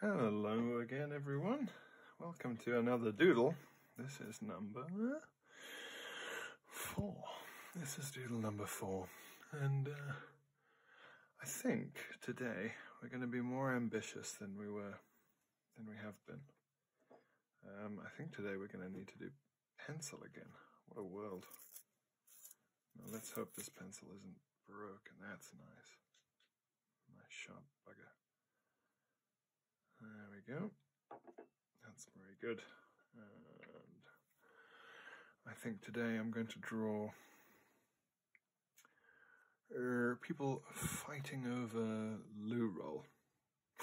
Hello again, everyone. Welcome to another doodle. This is number four. This is doodle number four. And uh, I think today we're going to be more ambitious than we were, than we have been. Um, I think today we're going to need to do pencil again. What a world. let's hope this pencil isn't broke, and That's nice. My sharp bugger. There we go. That's very good. And I think today I'm going to draw er, people fighting over loo roll.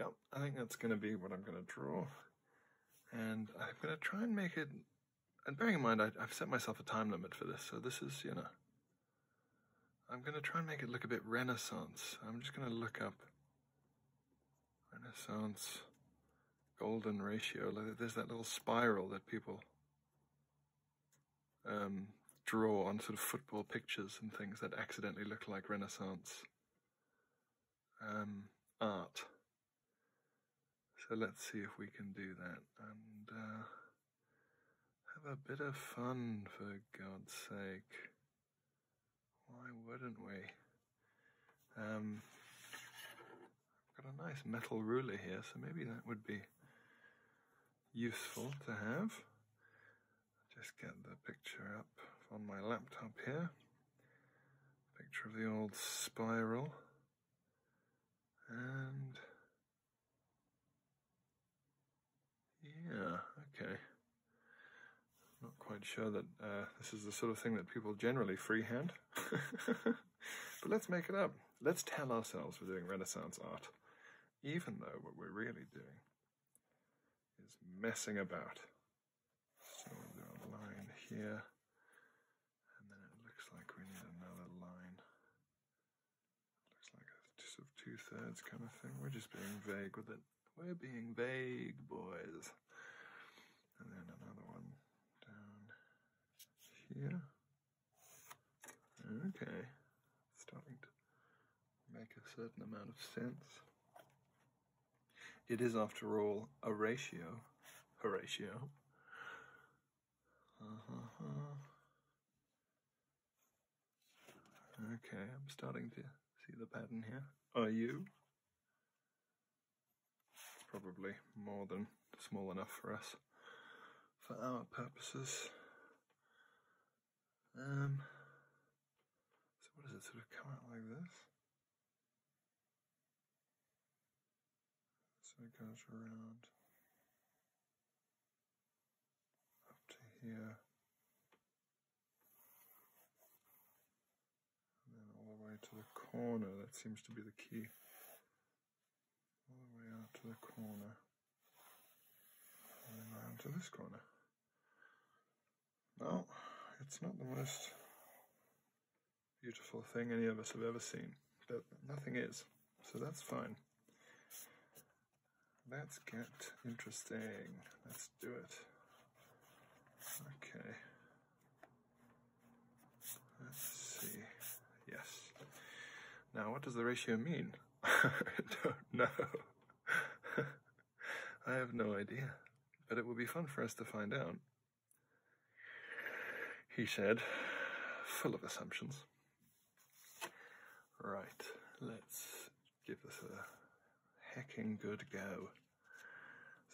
yep, I think that's going to be what I'm going to draw. And I'm going to try and make it and bearing in mind I, have set myself a time limit for this, so this is, you know, I'm going to try and make it look a bit Renaissance. I'm just going to look up Renaissance golden ratio. There's that little spiral that people um, draw on sort of football pictures and things that accidentally look like Renaissance um, art. So let's see if we can do that and uh, have a bit of fun for God's sake. Why wouldn't we? Um, I've got a nice metal ruler here, so maybe that would be useful to have. Just get the picture up on my laptop here. Picture of the old spiral. And yeah, okay. Not quite sure that uh, this is the sort of thing that people generally freehand. but let's make it up. Let's tell ourselves we're doing Renaissance art, even though what we're really doing is messing about. So we a line here and then it looks like we need another line. Looks like a sort of two thirds kind of thing. We're just being vague with it. We're being vague, boys. And then another one down here. Okay. starting to make a certain amount of sense. It is, after all, a ratio. Horatio. Uh-huh. Okay, I'm starting to see the pattern here. Are you? Probably more than small enough for us for our purposes. Um, so what does it sort of come out like this? So it goes around up to here and then all the way to the corner. That seems to be the key. All the way out to the corner and then around to this corner. Well, it's not the most beautiful thing any of us have ever seen, but nothing is. So that's fine. Let's get interesting. Let's do it. Okay. Let's see. Yes. Now, what does the ratio mean? No. I have no idea, but it will be fun for us to find out he said, full of assumptions. Right, let's give this a hecking good go.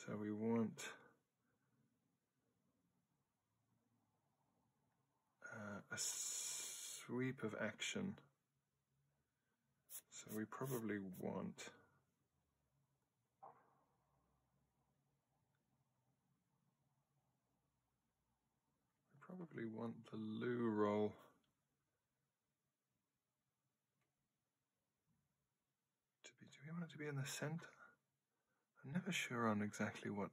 So we want uh, a sweep of action. So we probably want I probably want the loo roll. To be, do we want it to be in the center? I'm never sure on exactly what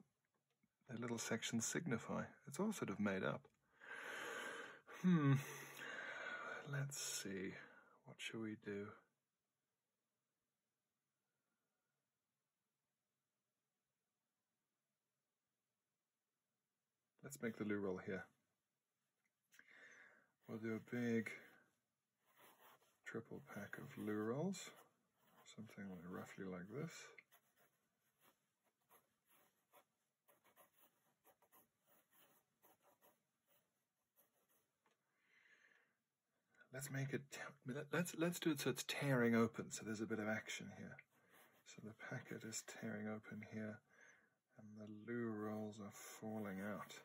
the little sections signify. It's all sort of made up. Hmm. Let's see. What shall we do? Let's make the loo roll here. We'll do a big triple pack of loo rolls, something roughly like this. Let's make it. Let's let's do it so it's tearing open. So there's a bit of action here. So the packet is tearing open here, and the loo rolls are falling out.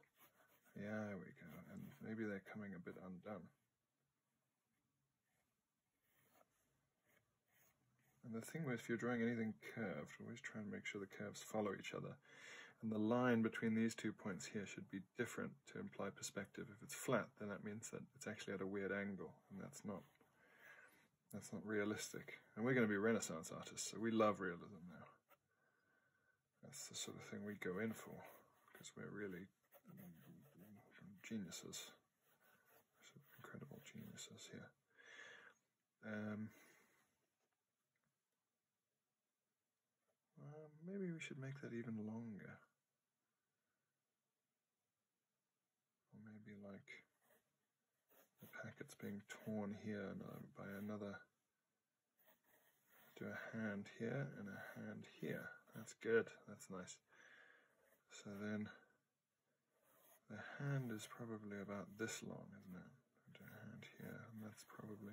Yeah, we go. And maybe they're coming a bit undone. And the thing with if you're drawing anything curved, always try and make sure the curves follow each other. And the line between these two points here should be different to imply perspective. If it's flat, then that means that it's actually at a weird angle, and that's not that's not realistic. And we're going to be Renaissance artists, so we love realism now. That's the sort of thing we go in for, because we're really geniuses. incredible geniuses here. Um, maybe we should make that even longer. Or maybe like the packet's being torn here uh, by another. Do a hand here and a hand here. That's good. That's nice. So then the hand is probably about this long, isn't it? hand here, and that's probably.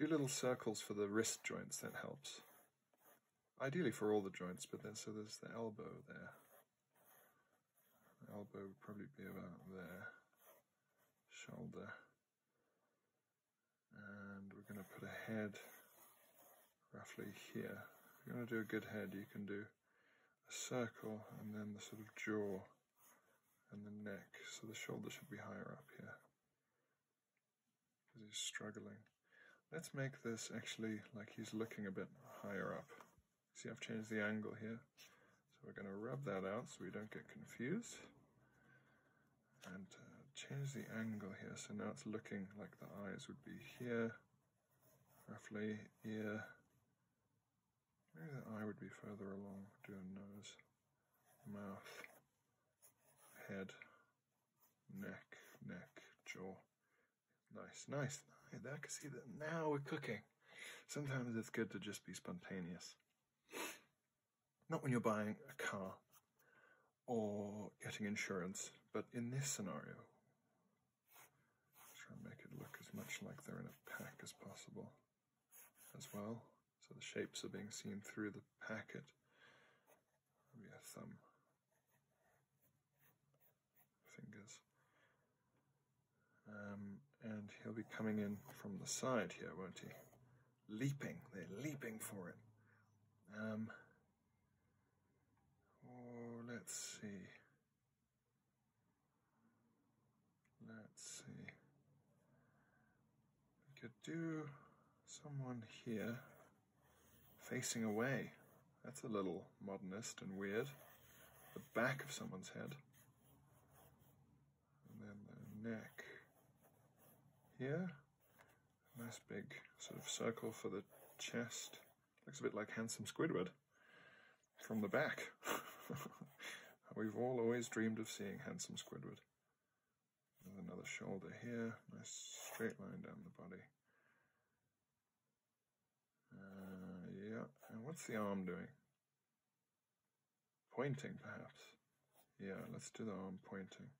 Do little circles for the wrist joints, that helps ideally for all the joints, but then so there's the elbow there. The elbow would probably be about there, shoulder, and we're going to put a head roughly here. If you want to do a good head, you can do a circle and then the sort of jaw and the neck, so the shoulder should be higher up here because he's struggling. Let's make this actually like he's looking a bit higher up. See, I've changed the angle here. So we're going to rub that out so we don't get confused. And uh, change the angle here. So now it's looking like the eyes would be here, roughly, here. Maybe the eye would be further along, do a nose, mouth, head neck, neck, jaw. Nice, nice. I can see that now we're cooking. Sometimes it's good to just be spontaneous. Not when you're buying a car or getting insurance, but in this scenario, try and make it look as much like they're in a pack as possible as well. So the shapes are being seen through the packet. Maybe a thumb fingers. Um, and he'll be coming in from the side here, won't he? Leaping, they're leaping for it. Um, oh, let's see. Let's see. We could do someone here. Facing away. That's a little modernist and weird. The back of someone's head. And then the neck here. Nice big sort of circle for the chest. Looks a bit like Handsome Squidward from the back. We've all always dreamed of seeing Handsome Squidward. another shoulder here, nice straight line down the body. Uh, yeah, and what's the arm doing? Pointing, perhaps. Yeah, let's do the arm pointing.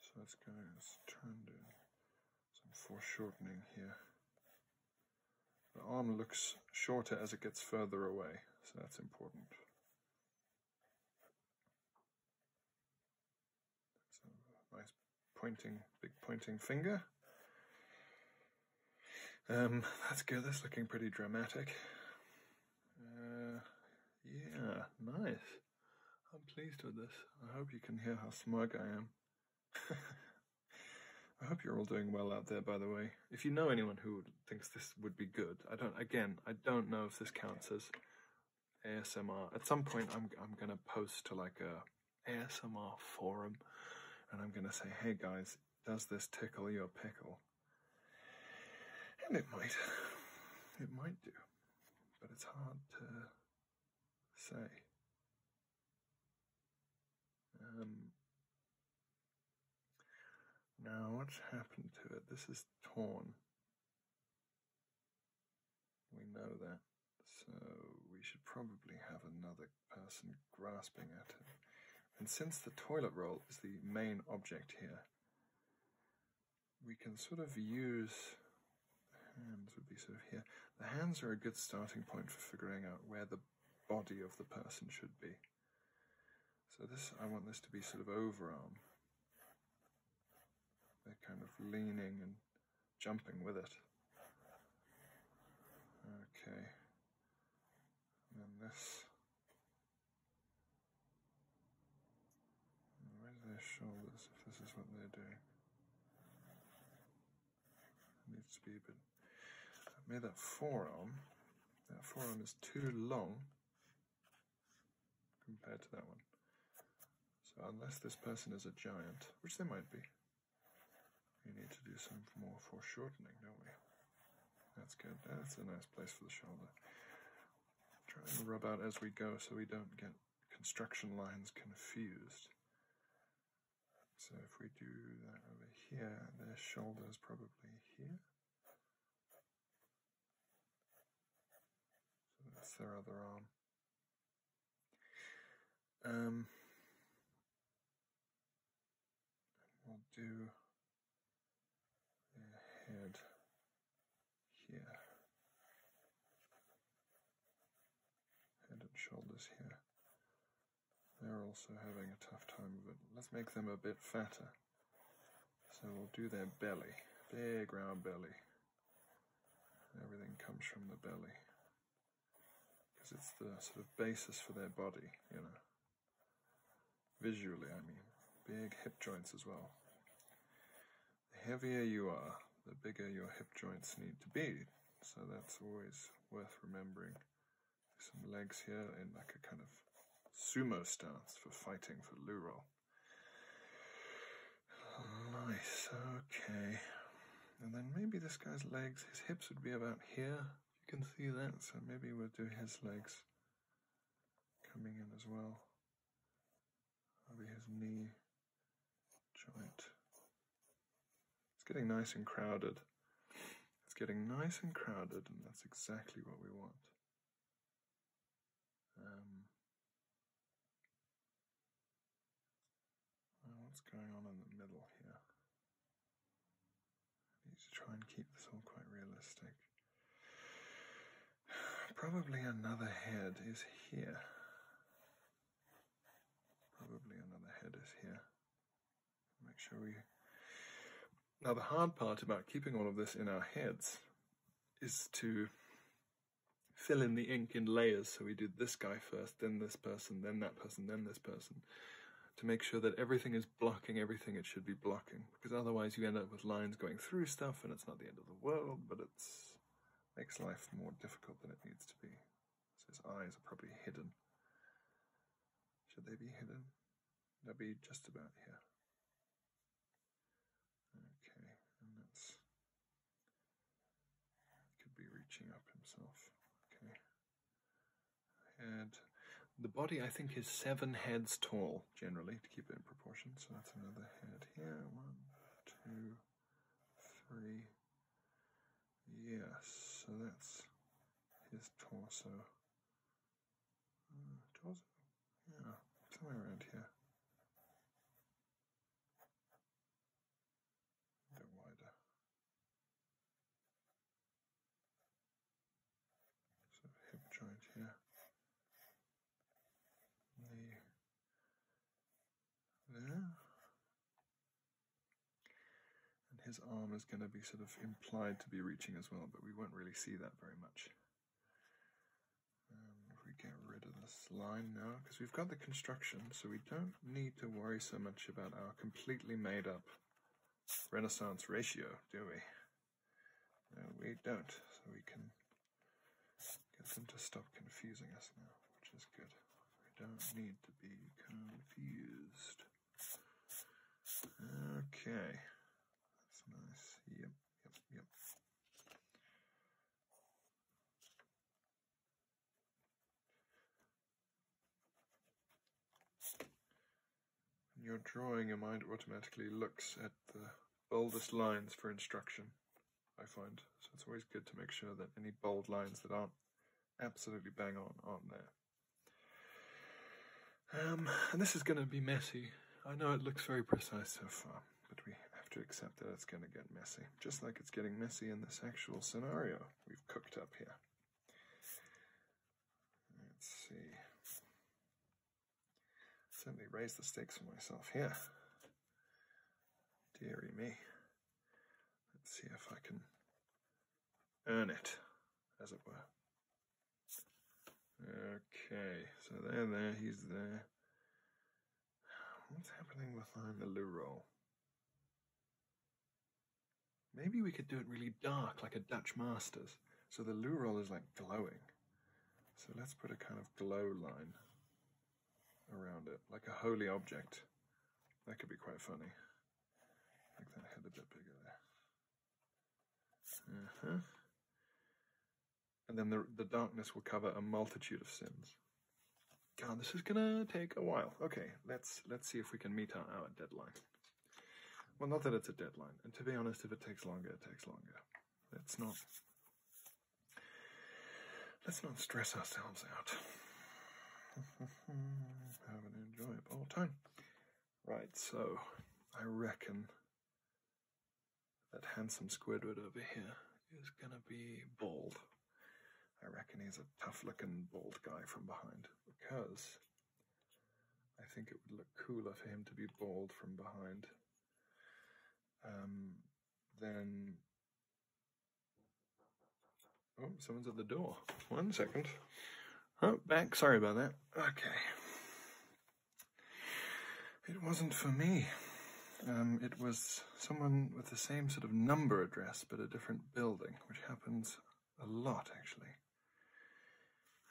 So let's go, let's try some foreshortening here. The arm looks shorter as it gets further away, so that's important. So nice pointing, big pointing finger. Um, that's good. That's looking pretty dramatic. Uh, yeah, nice. I'm pleased with this. I hope you can hear how smug I am. I hope you're all doing well out there, by the way. If you know anyone who thinks this would be good, I don't, again, I don't know if this counts as ASMR. At some point, I'm I'm gonna post to like a ASMR forum, and I'm gonna say, "Hey guys, does this tickle your pickle?" And it might, it might do, but it's hard to say. Um. Now, what's happened to it? This is torn. We know that, so we should probably have another person grasping at it. And since the toilet roll is the main object here, we can sort of use the hands would be sort of here. The hands are a good starting point for figuring out where the body of the person should be. So this I want this to be sort of overarm. They're kind of leaning and jumping with it. Okay, and then this. Where's their shoulders if this is what they're doing? Needs to be a bit. I made that forearm. That forearm is too long compared to that one. So unless this person is a giant, which they might be, we need to do some more foreshortening, don't we? That's good. That's a nice place for the shoulder. Try and rub out as we go so we don't get construction lines confused. So if we do that over here, their shoulder is probably here. that's their other arm. Um, we'll do the head here, head and shoulders here. They're also having a tough time of it. Let's make them a bit fatter. So we'll do their belly, big round belly. Everything comes from the belly because it's the sort of basis for their body, you know. Visually, I mean, big hip joints as well. The heavier you are, the bigger your hip joints need to be. So that's always worth remembering. Some legs here in like a kind of sumo stance for fighting for luro. Nice, okay. And then maybe this guy's legs, his hips would be about here. You can see that, so maybe we'll do his legs coming in as well. Maybe his knee joint. It's getting nice and crowded. It's getting nice and crowded, and that's exactly what we want. Um, what's going on in the middle here? need to try and keep this all quite realistic. Probably another head is here. Probably another head is here. Make sure we. Now, the hard part about keeping all of this in our heads is to fill in the ink in layers. So we do this guy first, then this person, then that person, then this person, to make sure that everything is blocking everything it should be blocking. Because otherwise you end up with lines going through stuff and it's not the end of the world, but it makes life more difficult than it needs to be. So his eyes are probably hidden. Should they be hidden? They'll be just about here. Okay, and that's could be reaching up himself. Okay. and The body, I think, is seven heads tall, generally, to keep it in proportion. So that's another head here. One, two, three. Yes, so that's his torso. Uh, torso? Yeah, somewhere around here bit wider. So hip joint here, knee there, and his arm is going to be sort of implied to be reaching as well, but we won't really see that very much. Um, we get rid of this line now, because we've got the construction, so we don't need to worry so much about our completely made up Renaissance ratio, do we? No, we don't. So we can get them to stop confusing us now, which is good. I don't need to be confused. Okay. That's nice. Yep, yep, yep. When you're drawing, your mind automatically looks at the boldest lines for instruction, I find. So it's always good to make sure that any bold lines that aren't absolutely bang on aren't there. Um, and this is going to be messy. I know it looks very precise so far, but we have to accept that it's going to get messy just like it's getting messy in this actual scenario we've cooked up here. Let's see. Certainly raise the stakes for myself here. Deary me. Let's see if I can earn it, as it were. Okay, so they're there, he's there. What's happening with the Leroux? Maybe we could do it really dark, like a Dutch Masters. So the loo is like glowing. So let's put a kind of glow line around it, like a holy object. That could be quite funny. Make that head a bit bigger there. Uh-huh. And then the, the darkness will cover a multitude of sins. God, this is gonna take a while. Okay, let's let's see if we can meet our, deadline. Well, not that it's a deadline, and to be honest, if it takes longer, it takes longer. Let's not let's not stress ourselves out. Have an enjoyable time. Right, so I reckon that handsome Squidward over here is gonna be bald. I reckon he's a tough looking bald guy from behind because I think it would look cooler for him to be bald from behind um, than. Oh, someone's at the door. One second. Oh, back. Sorry about that. Okay. It wasn't for me. Um, it was someone with the same sort of number address but a different building, which happens a lot actually.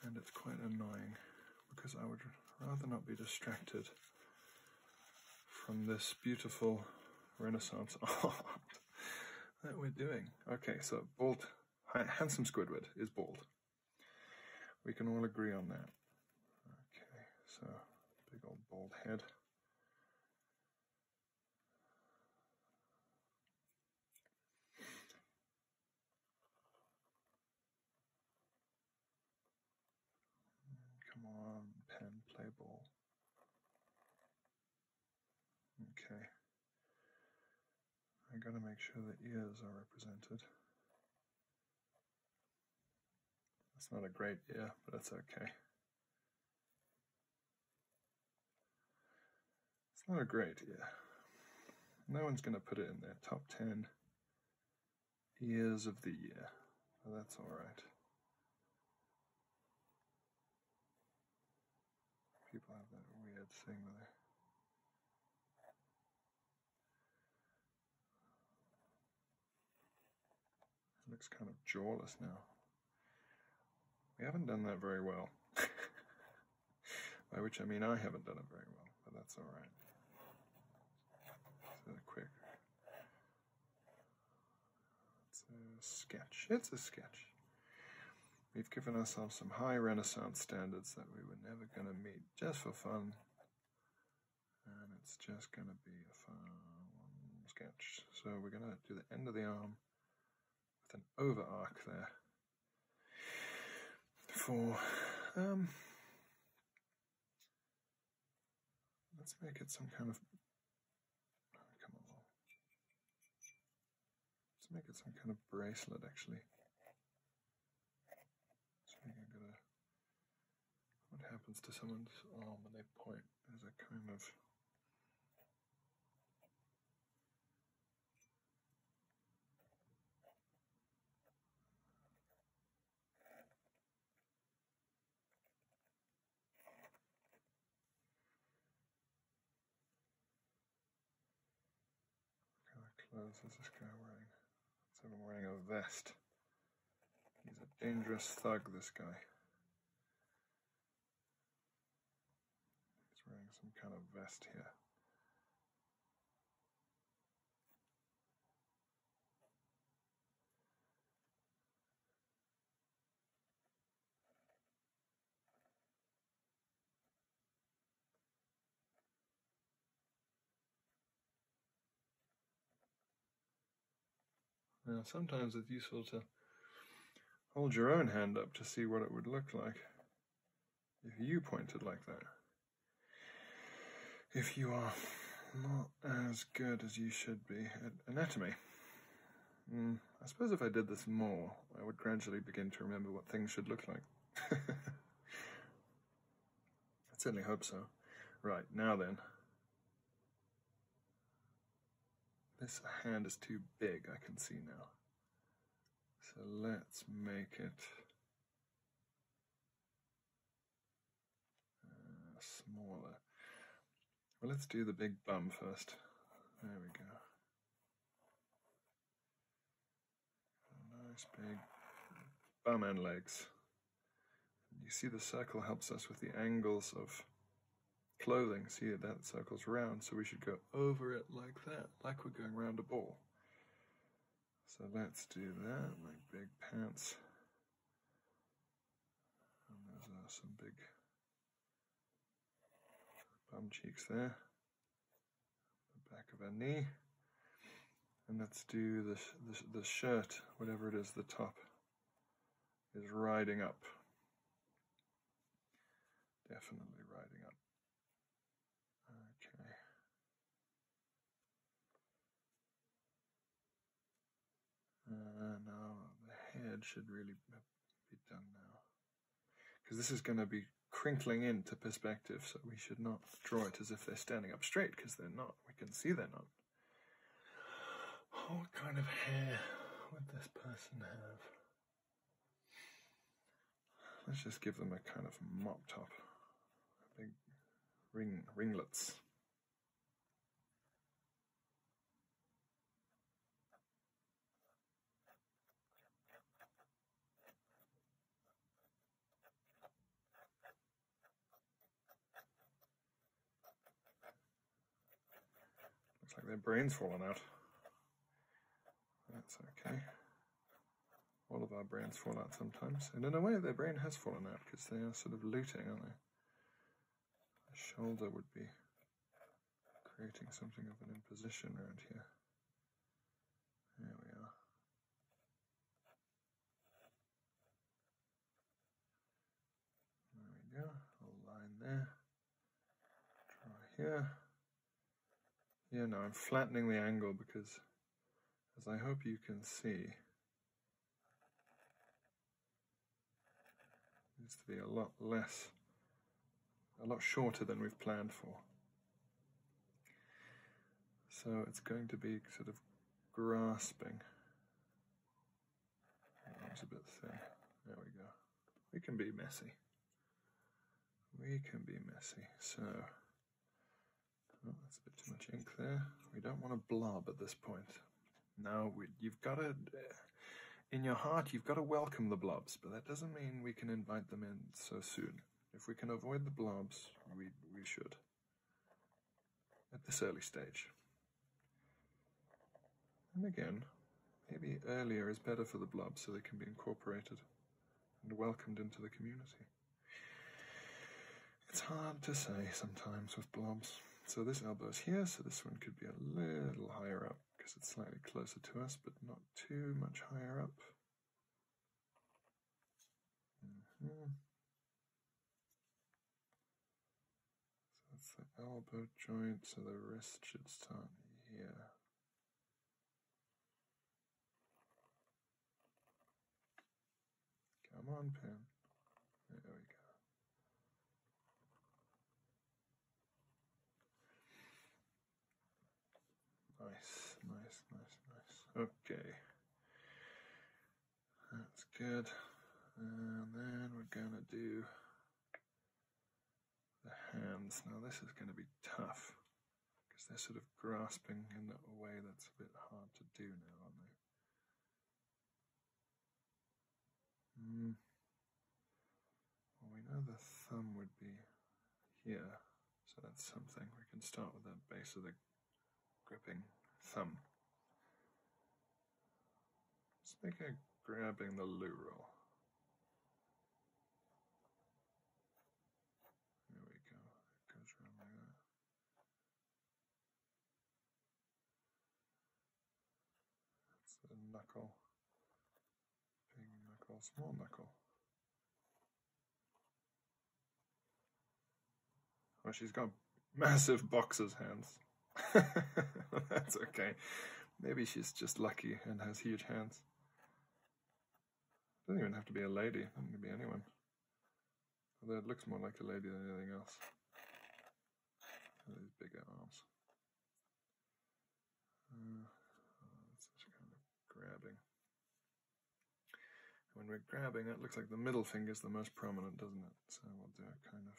And it's quite annoying because I would rather not be distracted from this beautiful Renaissance art that we're doing. Okay, so bald, handsome Squidward is bald. We can all agree on that. Okay, so big old bald head. Come on, pen, play ball. Okay. I gotta make sure the ears are represented. That's not a great ear, but that's okay. It's not a great year. No one's going to put it in their top 10 years of the year, but that's alright. People have that weird thing where looks kind of jawless now. We haven't done that very well. By which I mean I haven't done it very well, but that's alright. It's a sketch. It's a sketch. We've given ourselves some high Renaissance standards that we were never going to meet just for fun. And it's just going to be a fun sketch. So we're going to do the end of the arm with an over arc there for, um, let's make it some kind of, come on, let's make it some kind of bracelet actually. what happens to someone's arm when they point there's a kind of clothes is this guy wearing? Instead of wearing a vest. He's a dangerous thug, this guy. He's wearing some kind of vest here. Now, sometimes it's useful to hold your own hand up to see what it would look like if you pointed like that. If you are not as good as you should be at anatomy. Hmm, I suppose if I did this more, I would gradually begin to remember what things should look like. I certainly hope so. Right, now then. This hand is too big, I can see now. So let's make it uh, smaller. Well, let's do the big bum first. There we go. nice big bum and legs. You see the circle helps us with the angles of clothing. See that circles around. so we should go over it like that, like we're going round a ball. So let's do that, my big pants. And there's uh, some big bum cheeks there, the back of her knee. And let's do the, the, the shirt, whatever it is, the top is riding up. Definitely riding up. Okay. Uh, now the head should really be done now. Because this is going to be crinkling into perspective, so we should not draw it as if they're standing up straight, because they're not. We can see they're not what kind of hair would this person have? Let's just give them a kind of mop top, big ring ringlets. Looks like their brain's falling out. That's okay. All of our brains fall out sometimes. And in a way, their brain has fallen out because they are sort of looting, aren't they? The shoulder would be creating something of an imposition around here. There we are. There we go. A line there. Draw here. Yeah, now I'm flattening the angle because, as I hope you can see, needs to be a lot less, a lot shorter than we've planned for. So it's going to be sort of grasping it's a bit thin. There we go. We can be messy. We can be messy. So, oh, that's a bit too much ink there. We don't want to blob at this point. Now you've got it in your heart, you've got to welcome the blobs, but that doesn't mean we can invite them in so soon. If we can avoid the blobs, we, we should. At this early stage. And again, maybe earlier is better for the blobs so they can be incorporated and welcomed into the community. It's hard to say sometimes with blobs. So this elbow is here, so this one could be a little higher up because it's slightly closer to us, but not too much higher up. Mm-hmm. So it's the elbow joint, so the wrist should start here. Come on, Pam. There we go. Nice, nice, nice, nice. Okay. That's good. And then we're gonna do the hands. Now this is going to be tough because they're sort of grasping in a way that's a bit hard to do now, aren't they? Hmm. Well, we know the thumb would be here, so that's something. We can start with the base of the gripping thumb. Let's a grabbing the loo roll. There we go. It goes around like that. It's a knuckle. Big small knuckle. Well, oh, she's got massive boxer's hands. That's okay. Maybe she's just lucky and has huge hands. Doesn't even have to be a lady. It can be anyone. Although it looks more like a lady than anything else. Those bigger arms. Uh, oh, kind of grabbing. When we're grabbing, it looks like the middle finger is the most prominent, doesn't it? So we'll do a kind of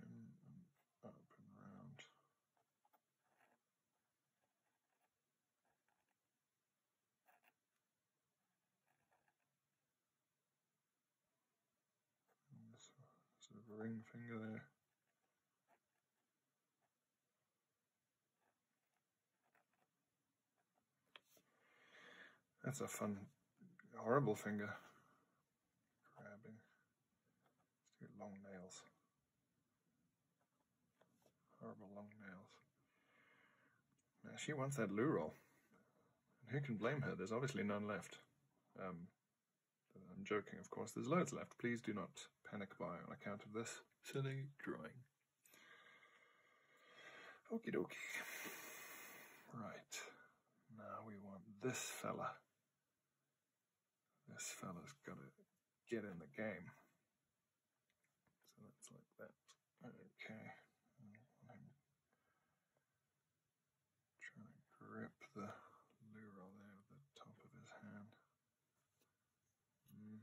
and up and round. sort of ring finger there. That's a fun, horrible finger grabbing. long nails. Horrible long nails. she wants that loo roll. who can blame her? There's obviously none left. Um, I'm joking, of course. There's loads left. Please do not panic by on account of this silly drawing. Okey dokey. Right. Now we want this fella this fella's got to get in the game. So that's like that. Okay. trying to grip the lure there with the top of his hand. Hmm.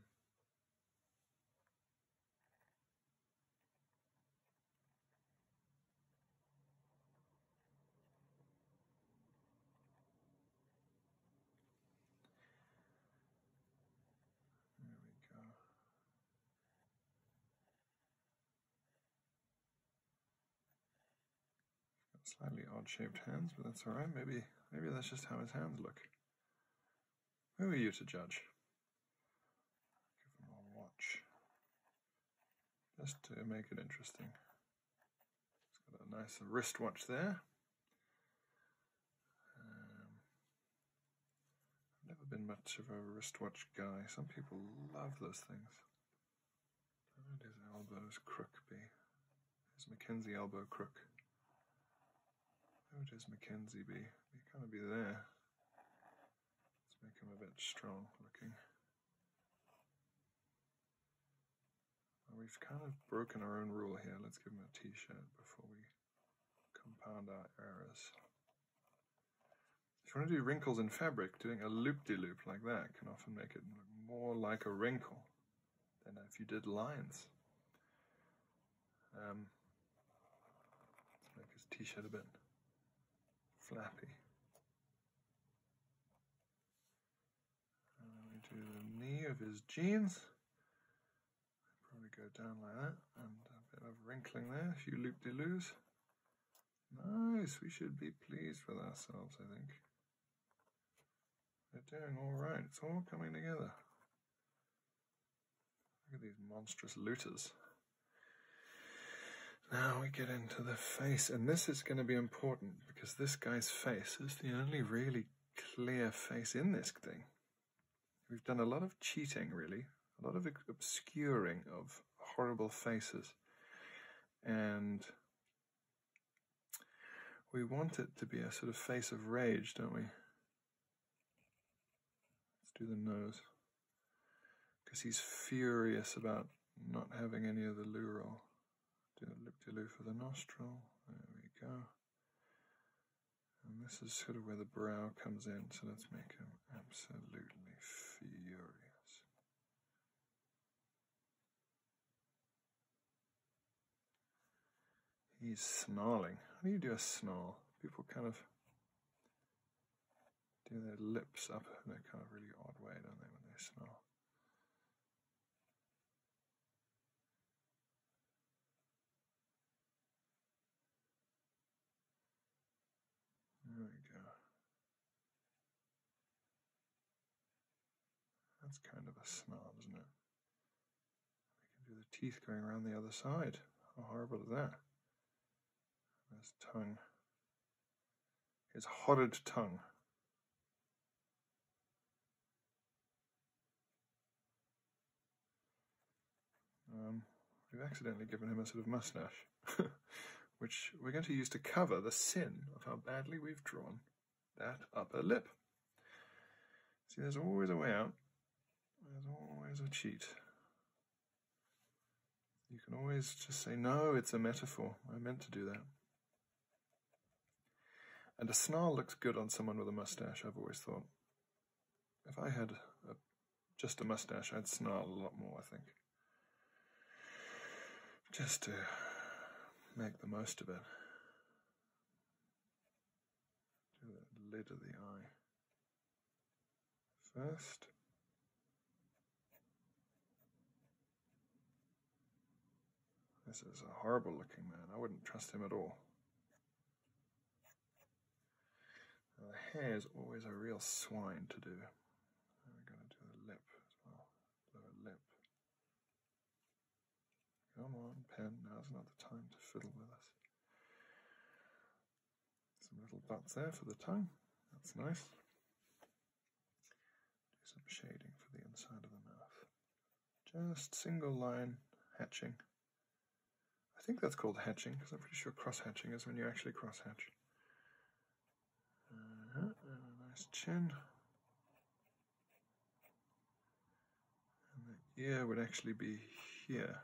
There we go. slightly odd shaped hands, but that's alright. Maybe maybe that's just how his hands look. Who are you to judge? Give him a watch. Just to make it interesting. It's got a nice wristwatch there. Um, I've never been much of a wristwatch guy. Some people love those things. And his elbow's crook be. His Mackenzie elbow crook. Where would his Mackenzie be? He kind of be there. Let's make him a bit strong looking we've kind of broken our own rule here. Let's give him a t-shirt before we compound our errors. If you want to do wrinkles in fabric, doing a loop-de-loop like that can often make it look more like a wrinkle than if you did lines. Um, let's make his t-shirt a bit flappy. Let uh, me do the knee of his jeans. Probably go down like that, and a bit of wrinkling there. A few loop de loos. Nice. We should be pleased with ourselves, I think. We're doing all right. It's all coming together. Look at these monstrous looters. Now we get into the face, and this is going to be important because this guy's face is the only really clear face in this thing. We've done a lot of cheating, really, a lot of obscuring of horrible faces. And we want it to be a sort of face of rage, don't we? Let's do the nose. Because he's furious about not having any of the loo do a lip de loo for the nostril. There we go. And this is sort of where the brow comes in, so let's make him absolutely furious. He's snarling. How do you do a snarl? People kind of do their lips up in a kind of really odd way, don't they, when they snarl? There we go. That's kind of a snob, isn't it? We can do the teeth going around the other side. How horrible is that? His tongue. His horrid tongue. Um, we've accidentally given him a sort of mustache, which we're going to use to cover the sin of how badly we've drawn that upper lip. See, there's always a way out. There's always a cheat. You can always just say, no, it's a metaphor. I meant to do that. And a snarl looks good on someone with a mustache, I've always thought. If I had just a mustache, I'd snarl a lot more, I think. Just to make the most of it. Do the lid of the eye first. This is a horrible looking man. I wouldn't trust him at all. the hair is always a real swine to do. we're going to do the lip as well. Lower lip. Come on, pen. Now's not the time to fiddle with us. Some little dots there for the tongue. That's nice. Do some shading for the inside of the mouth. Just single line hatching. I think that's called hatching because I'm pretty sure cross hatching is when you actually cross hatch. Uh-huh, nice chin. And the ear would actually be here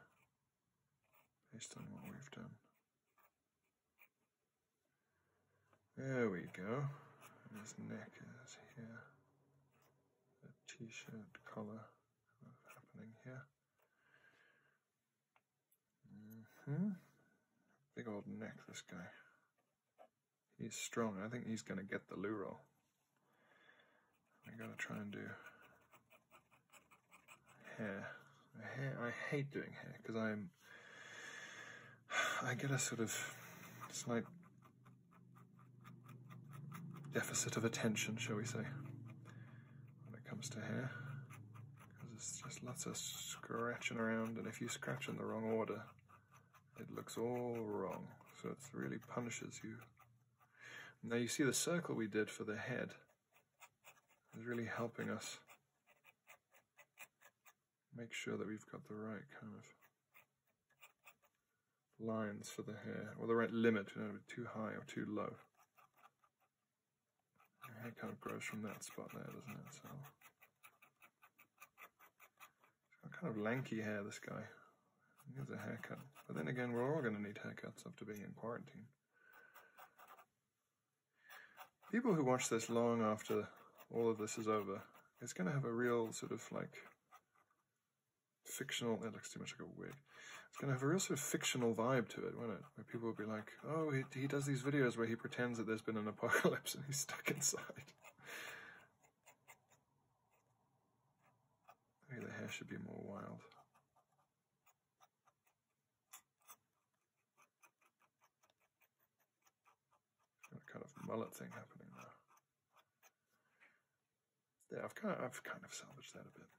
based on what we've done. There we go. And his neck is here. The t-shirt collar happening here. -hmm. Big old neck, this guy. He's strong. I think he's going to get the loo roll. I gotta try and do hair I hate doing hair because I'm I get a sort of slight deficit of attention, shall we say, when it comes to hair. Because it's just lots of scratching around, and if you scratch in the wrong order, it looks all wrong. So it really punishes you. Now you see the circle we did for the head is really helping us make sure that we've got the right kind of lines for the hair, or the right limit, you know, too high or too low. Your hair kind of grows from that spot there, doesn't it? So, kind of lanky hair, this guy. He needs a haircut. But then again, we're all going to need haircuts after being in quarantine people who watch this long after all of this is over, it's going to have a real sort of like fictional, that looks too much like a wig. It's going to have a real sort of fictional vibe to it, won't it? Where people will be like, oh, he, does these videos where he pretends that there's been an apocalypse and he's stuck inside. Maybe the hair should be more wild. Got a kind of mullet thing happening there. Yeah, I've kind of, I've kind of salvaged that a bit.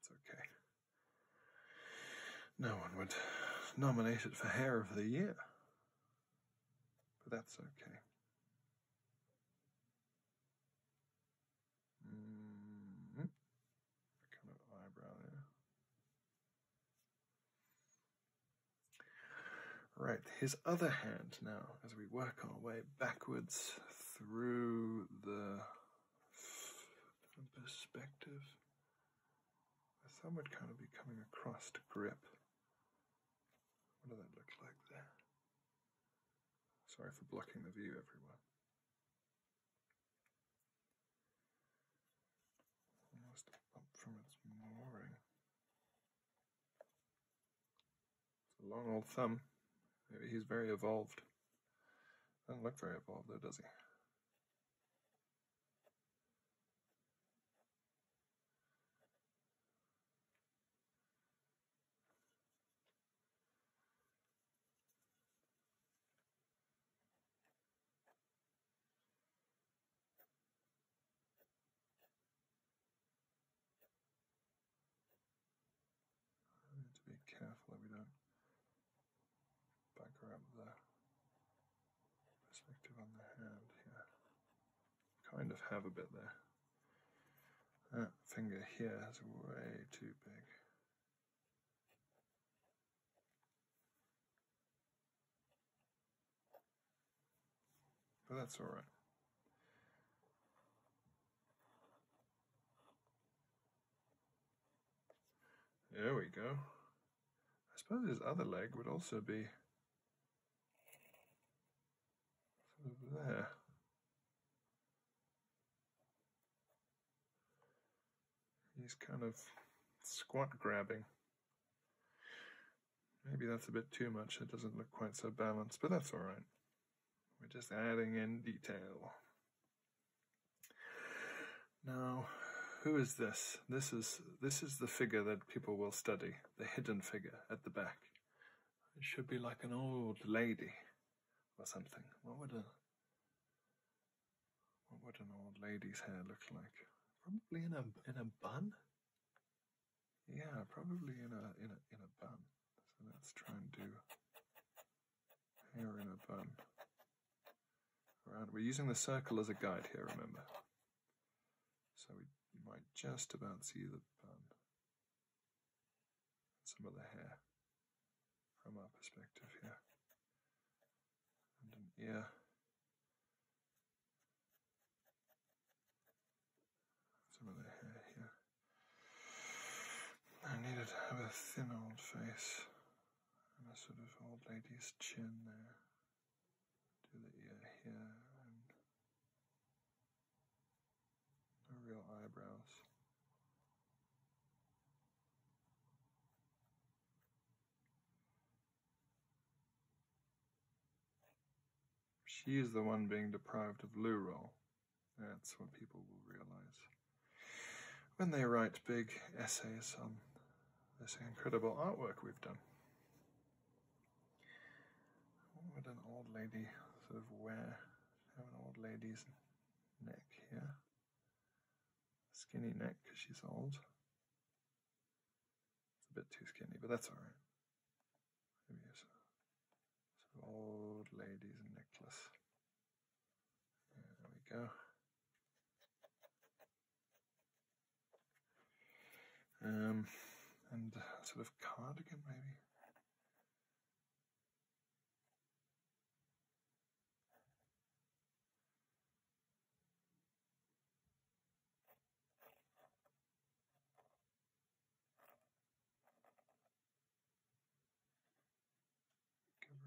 It's okay. No one would nominate it for hair of the year, but that's okay. -hmm. Kind of eyebrow there. Right, his other hand now, as we work our way backwards through the perspective, some would kind of be coming across to grip. What does that look like there? Sorry for blocking the view, everyone. Must have from its mooring. It's a long old thumb. Maybe he's very evolved. Doesn't look very evolved though, does he? need to be careful we don't backer up the perspective on the hand here. Kind of have a bit there. That finger here is way too big. But that's all right. There we go. I suppose his other leg would also be sort there. He's kind of squat grabbing. Maybe that's a bit too much. It doesn't look quite so balanced, but that's all right. We're just adding in detail. Now, who is this? This is this is the figure that people will study, the hidden figure at the back. It should be like an old lady or something. What would a what would an old lady's hair look like? Probably in a in a bun. Yeah, probably in a in a in a bun. So let's try and do hair in a bun. Around we're using the circle as a guide here, remember. So we might just about see the bun. some of the hair from our perspective here. And an ear some of the hair here. I needed to have a thin old face and a sort of old lady's chin there. Do the ear here and no real eyebrows. She is the one being deprived of loo That's what people will realize when they write big essays on this incredible artwork we've done. What would an old lady sort of wear? Have an old lady's neck here. Skinny neck because she's old. It's a bit too skinny, but that's alright. Maybe a old lady's necklace. There we go. Um, and sort of cardigan, maybe. Give her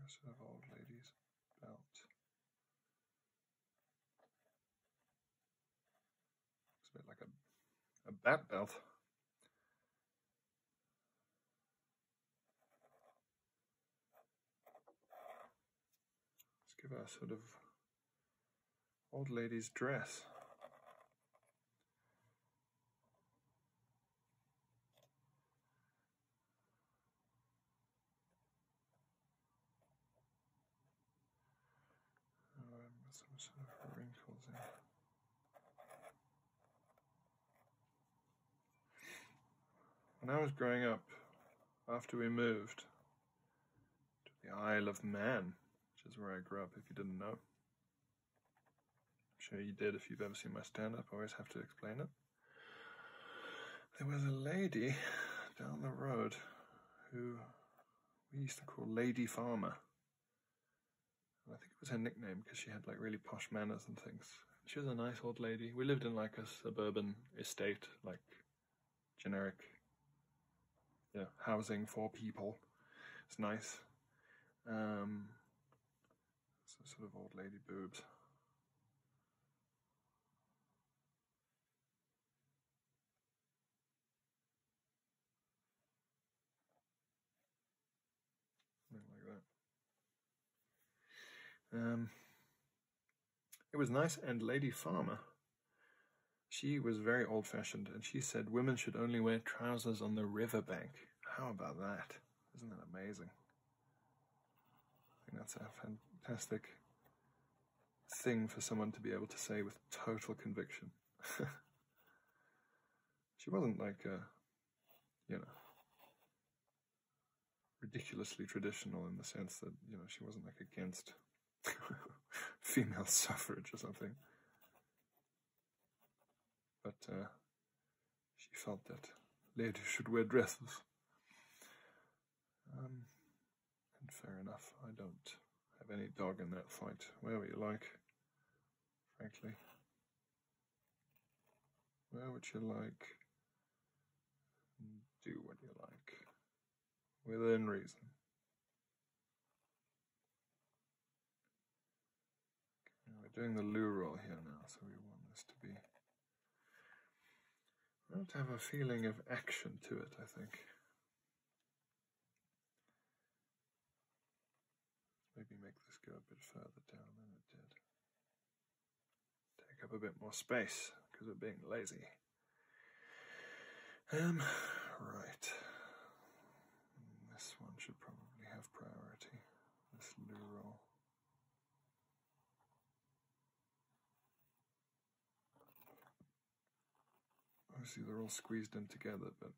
a sort of old lady's belt. Looks a bit like a, a bat belt. Let's give her sort of old lady's dress. some sort of wrinkles in. When I was growing up, after we moved, to the Isle of Man, which is where I grew up, if you didn't know. I'm sure you did if you've ever seen my stand up, I always have to explain it. There was a lady down the road who we used to call Lady Farmer. I think it was her nickname because she had like really posh manners and things. She was a nice old lady. We lived in like a suburban estate, like generic you housing for people. It's nice. Um, so sort of old lady boobs. Something like that. Um, it was nice and Lady Farmer she was very old fashioned and she said women should only wear trousers on the riverbank. How about that? Isn't that amazing? I think that's a fantastic thing for someone to be able to say with total conviction. she wasn't like a, uh, you know, ridiculously traditional in the sense that, you know, she wasn't like against female suffrage or something. But uh, she felt that ladies should wear dresses. Um, and fair enough, I don't have any dog in that fight, where would you like, frankly. Where would you like? Do what you like within reason. we're doing the loo roll here now, so we want this to be. We want to have a feeling of action to it, I think. Maybe make this go a bit further down than it did. Take up a bit more space because we're being lazy. Um, right. This one should probably have priority. This new roll. Obviously, they're all squeezed in together, but.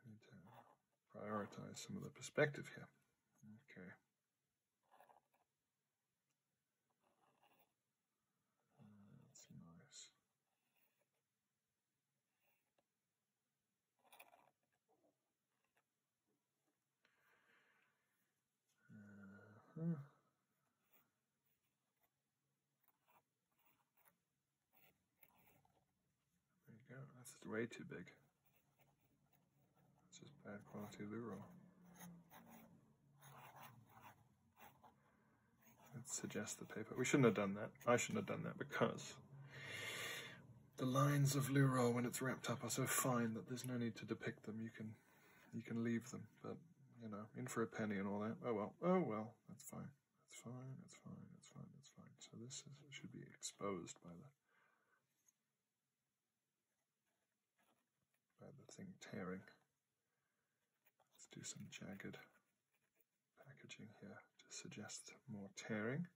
I need to prioritize some of the perspective here. Okay. Uh, let uh-huh. There you go. That's way too big. It's just bad quality lure It suggests the paper. We shouldn't have done that. I shouldn't have done that because the lines of lure when it's wrapped up are so fine that there's no need to depict them. You can you can leave them, but you know, in for a penny and all that. Oh well, oh well, that's fine. That's fine, that's fine, that's fine, that's fine. So this should be exposed by the by the thing tearing. Let's do some jagged packaging here to suggest more tearing.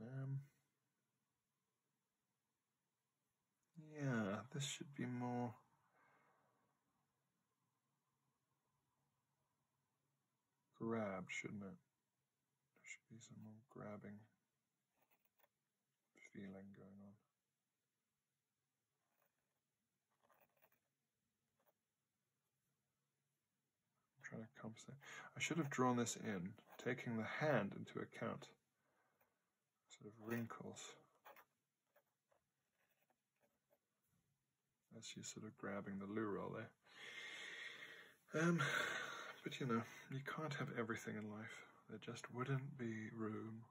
Um, yeah, this should be more. Grab, shouldn't it? There should be some more grabbing feeling going on. i trying to compensate. I should have drawn this in, taking the hand into account. Sort of wrinkles. As she's sort of grabbing the lure roll there. Um, but you know, you can't have everything in life. There just wouldn't be room.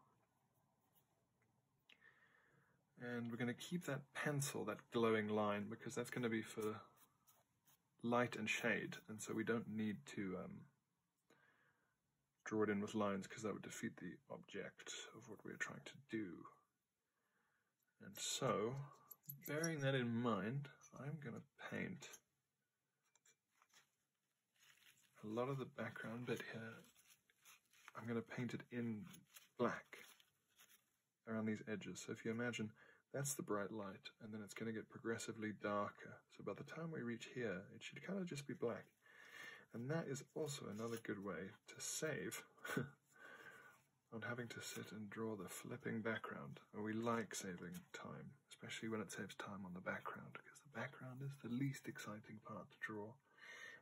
And we're going to keep that pencil, that glowing line, because that's going to be for light and shade, and so we don't need to um, draw it in with lines because that would defeat the object of what we are trying to do. And so, bearing that in mind, I'm going to paint a lot of the background bit here, I'm going to paint it in black around these edges. So if you imagine that's the bright light, and then it's going to get progressively darker. So by the time we reach here, it should kind of just be black. And that is also another good way to save on having to sit and draw the flipping background. And we like saving time especially when it saves time on the background, because the background is the least exciting part to draw,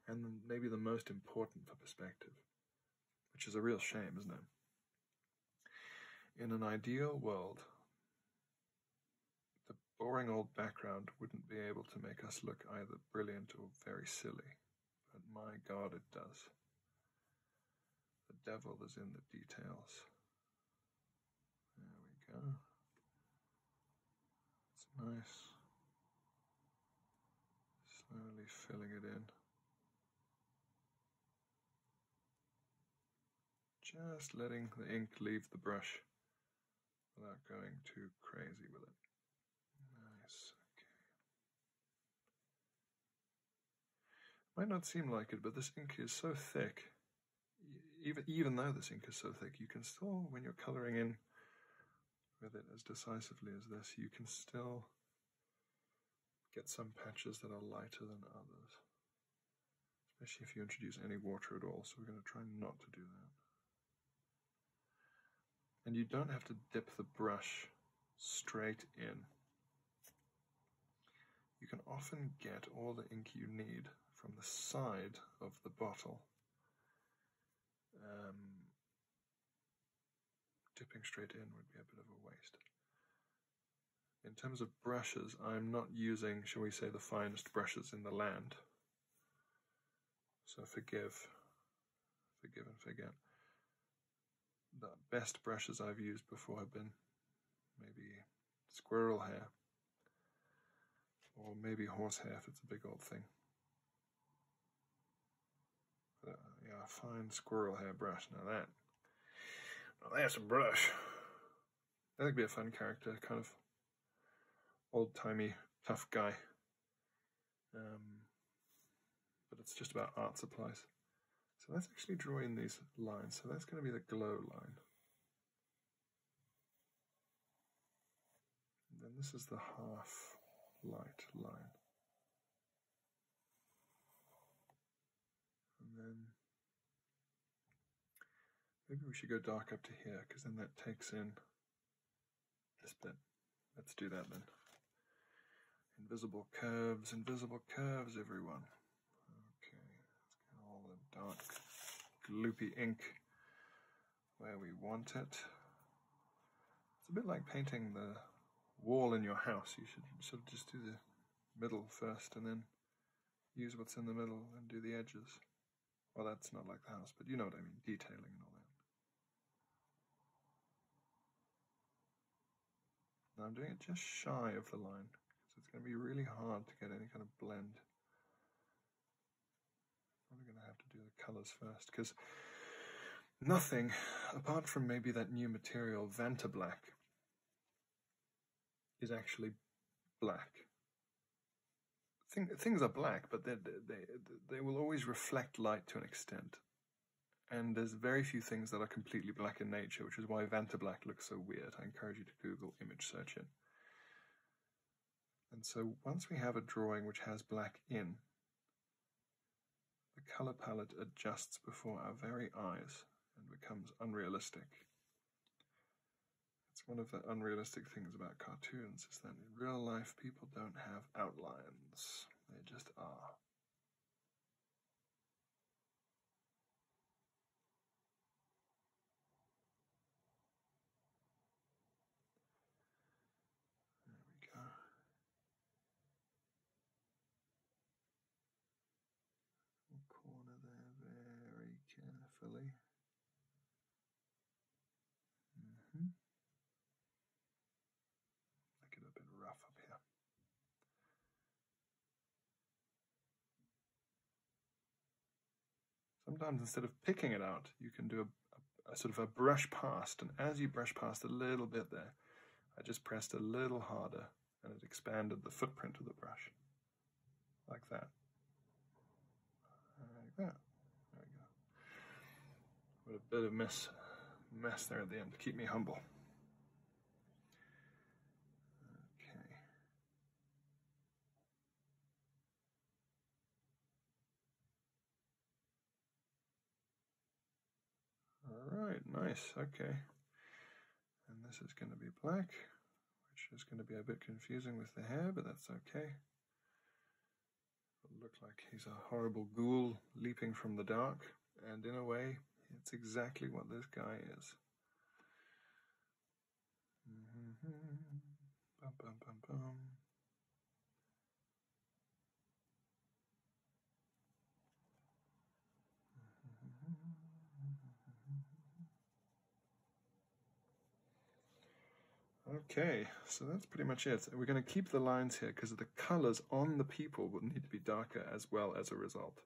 and maybe the most important for perspective, which is a real shame, isn't it? In an ideal world, the boring old background wouldn't be able to make us look either brilliant or very silly, but my god, it does. The devil is in the details. There we go. It's nice. Slowly filling it in. Just letting the ink leave the brush without going too crazy with it. Nice. Okay. Might not seem like it, but this ink is so thick even even though the ink is so thick, you can still, when you're coloring in with it as decisively as this, you can still get some patches that are lighter than others, especially if you introduce any water at all. So we're going to try not to do that. And you don't have to dip the brush straight in you can often get all the ink you need from the side of the bottle. Um, dipping straight in would be a bit of a waste. In terms of brushes, I'm not using, shall we say, the finest brushes in the land. So forgive, forgive and forget. The best brushes I've used before have been maybe squirrel hair, or maybe horse hair if it's a big old thing. Uh, yeah, fine squirrel hair brush. Now that, that's a brush. That could be a fun character, kind of old timey tough guy. Um, but it's just about art supplies. So let's actually draw in these lines. So that's going to be the glow line. And then this is the half light line. And then maybe we should go dark up to here because then that takes in this bit. Let's do that then. Invisible curves, invisible curves, everyone. Okay, get all the dark gloopy ink where we want it. It's a bit like painting the wall in your house. You should sort of just do the middle first and then use what's in the middle and do the edges. Well, that's not like the house, but you know what I mean, detailing and all that. Now I'm doing it just shy of the line, because it's going to be really hard to get any kind of blend. I'm Probably going to have to do the colors first because nothing, apart from maybe that new material, Vanta Black, is actually black. things are black, but they, they, they will always reflect light to an extent. And there's very few things that are completely black in nature, which is why Vanta Black looks so weird. I encourage you to Google image search it. And so once we have a drawing which has black in, the color palette adjusts before our very eyes and becomes unrealistic. It's one of the unrealistic things about cartoons is that in real life people don't have outlines. They just are. There we go. corner there very carefully. Mm-hmm. Make it a bit rough up here. Sometimes instead of picking it out, you can do a, sort of a brush past, and as you brush past a little bit there, I just pressed a little harder and it expanded the footprint of the brush, like that, like that. There we go. What a bit of mess, mess there at the end. to Keep me humble. Okay. All right, nice, okay. And this is going to be black, which is going to be a bit confusing with the hair, but that's okay. it look like he's a horrible ghoul leaping from the dark, and in a way, it's exactly what this guy is. Mm-hmm. Okay, so that's pretty much it. We're going to keep the lines here because the colors on the people will need to be darker as well as a result.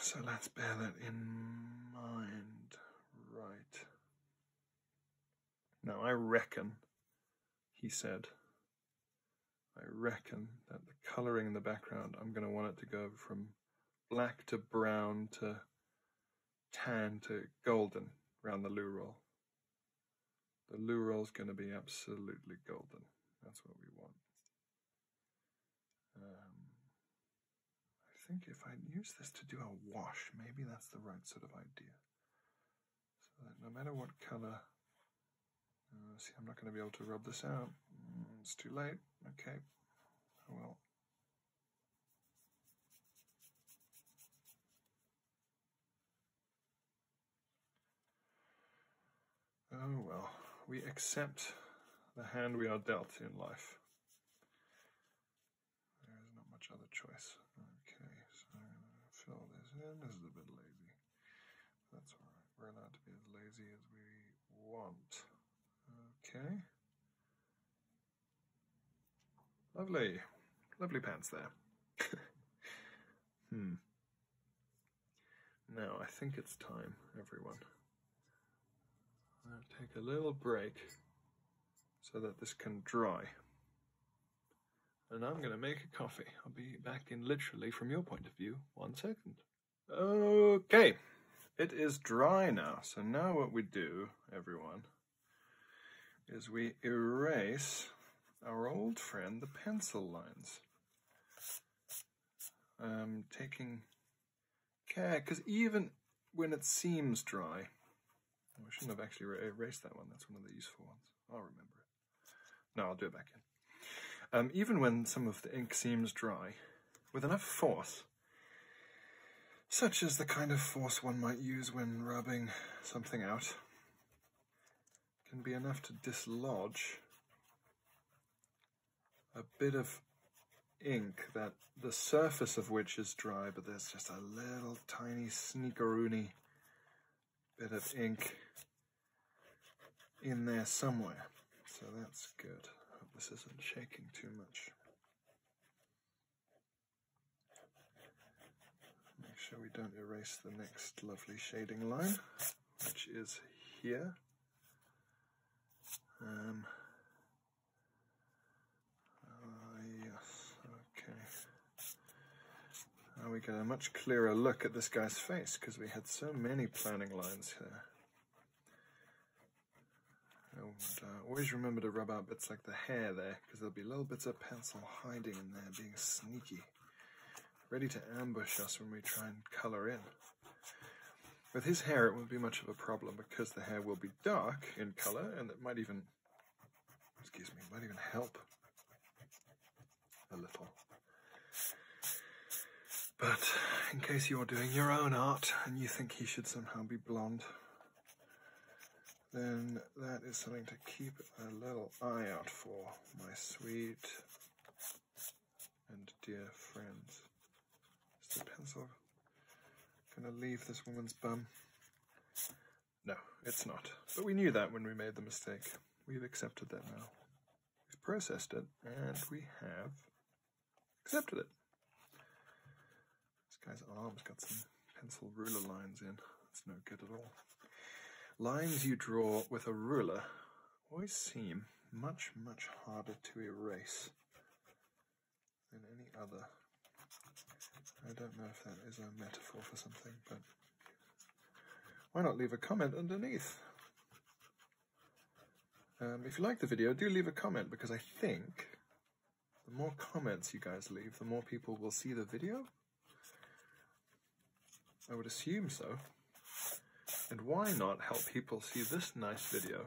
So let's bear that in mind. Right. Now, I reckon, he said, I reckon that the colouring in the background, I'm going to want it to go from black to brown to tan to golden around the loo roll. The loo roll's going to be absolutely golden. That's what we want. Um, I think if I use this to do a wash, maybe that's the right sort of idea. So that no matter what color. Uh, see, I'm not going to be able to rub this out. Mm, it's too late. Okay. I oh, oh well, we accept the hand we are dealt in life. There's not much other choice. Okay, so I'm going to fill this in. This is a bit lazy. That's all right. We're allowed to be as lazy as we want. Okay. Lovely. Lovely pants there. hmm. Now I think it's time, everyone. I'm going to take a little break so that this can dry. And I'm going to make a coffee. I'll be back in literally, from your point of view, one second. Okay, it is dry now. So now what we do, everyone, is we erase our old friend, the pencil lines. I'm taking care, because even when it seems dry, oh, I shouldn't have actually erased that one. That's one of the useful ones. I'll remember it. No, I'll do it back in. Um, even when some of the ink seems dry, with enough force, such as the kind of force one might use when rubbing something out, can be enough to dislodge a bit of ink that the surface of which is dry, but there's just a little tiny sneakeroony bit of ink in there somewhere. So that's good. hope this isn't shaking too much. Make sure we don't erase the next lovely shading line, which is here. Um, Ah, yes, okay. Now we get a much clearer look at this guy's face because we had so many planning lines here. Uh, always remember to rub out bits like the hair there because there'll be little bits of pencil hiding in there being sneaky. Ready to ambush us when we try and color in. With his hair, it won't be much of a problem because the hair will be dark in color and it might even, excuse me, might even help a little. But in case you're doing your own art and you think he should somehow be blonde, then that is something to keep a little eye out for, my sweet and dear friends. Is the pencil gonna leave this woman's bum? No, it's not. But we knew that when we made the mistake. We've accepted that now. We've processed it, and we have accepted it. This guy's arm's got some pencil ruler lines in. That's no good at all. Lines you draw with a ruler always seem much, much harder to erase than any other. I don't know if that is a metaphor for something, but why not leave a comment underneath? Um, if you like the video, do leave a comment because I think the more comments you guys leave, the more people will see the video. I would assume so. And why not help people see this nice video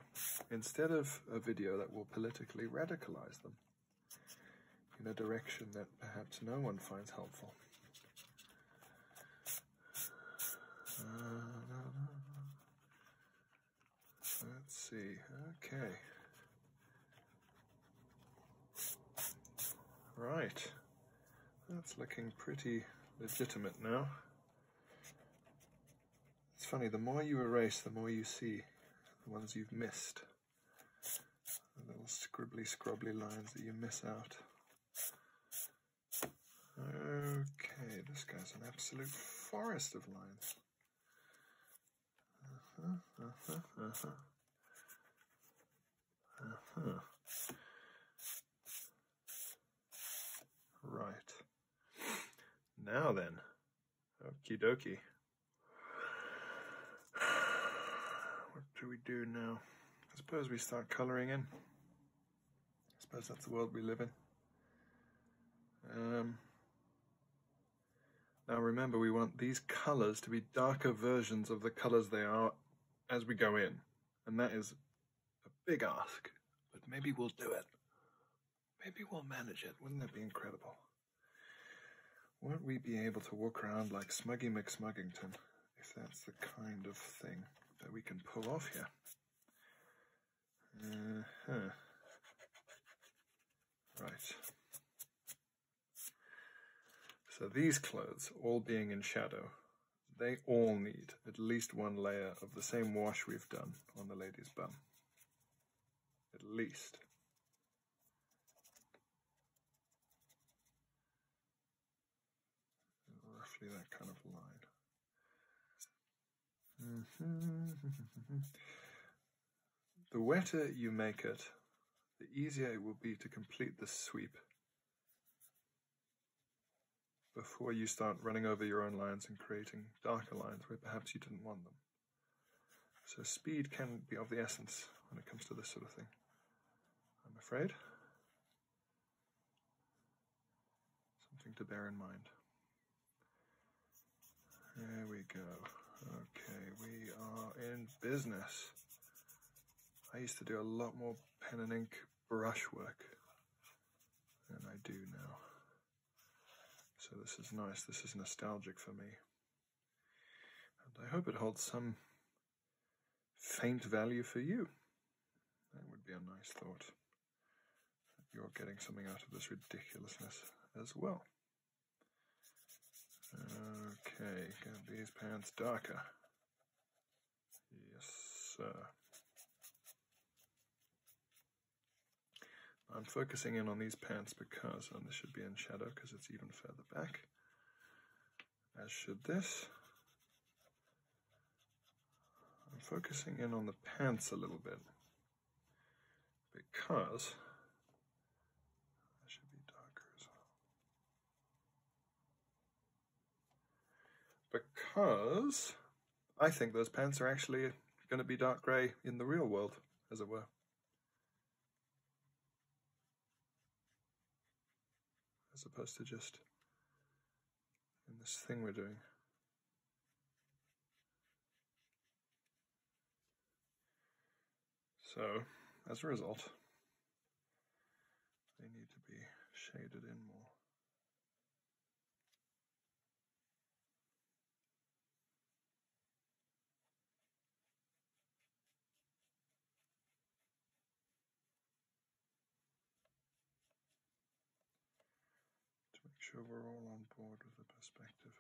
instead of a video that will politically radicalize them in a direction that perhaps no one finds helpful. Uh, let's see, okay. Right, that's looking pretty legitimate now. It's funny, the more you erase, the more you see the ones you've missed. The little scribbly scrubbly lines that you miss out. Okay, this guy's an absolute forest of lines. Uh-huh, uh-huh, uh-huh. Right. Now then, Okie dokie. What do we do now? I suppose we start colouring in. I suppose that's the world we live in. Um, now remember, we want these colours to be darker versions of the colours they are as we go in. And that is a big ask, but maybe we'll do it. Maybe we'll manage it. Wouldn't that be incredible? would not we be able to walk around like Smuggy McSmuggington if that's the kind of thing that we can pull off here? Uh-huh. Right. So these clothes, all being in shadow, they all need at least one layer of the same wash we've done on the lady's bum at least. Roughly that kind of line. Mm-hmm. the wetter you make it, the easier it will be to complete the sweep before you start running over your own lines and creating darker lines where perhaps you didn't want them. So speed can be of the essence when it comes to this sort of thing, I'm afraid. Something to bear in mind. There we go. Okay, we are in business. I used to do a lot more pen and ink brush work than I do now. So this is nice. This is nostalgic for me. And I hope it holds some faint value for you. That would be a nice thought. You're getting something out of this ridiculousness as well. Okay, get these pants darker. Yes, sir. I'm focusing in on these pants because, and this should be in shadow because it's even further back, as should this. I'm focusing in on the pants a little bit because that should be darker as well. Because I think those pants are actually going to be dark grey in the real world, as it were. As opposed to just in this thing we're doing. So, as a result, they need to be shaded in more to make sure we're all on board with the perspective.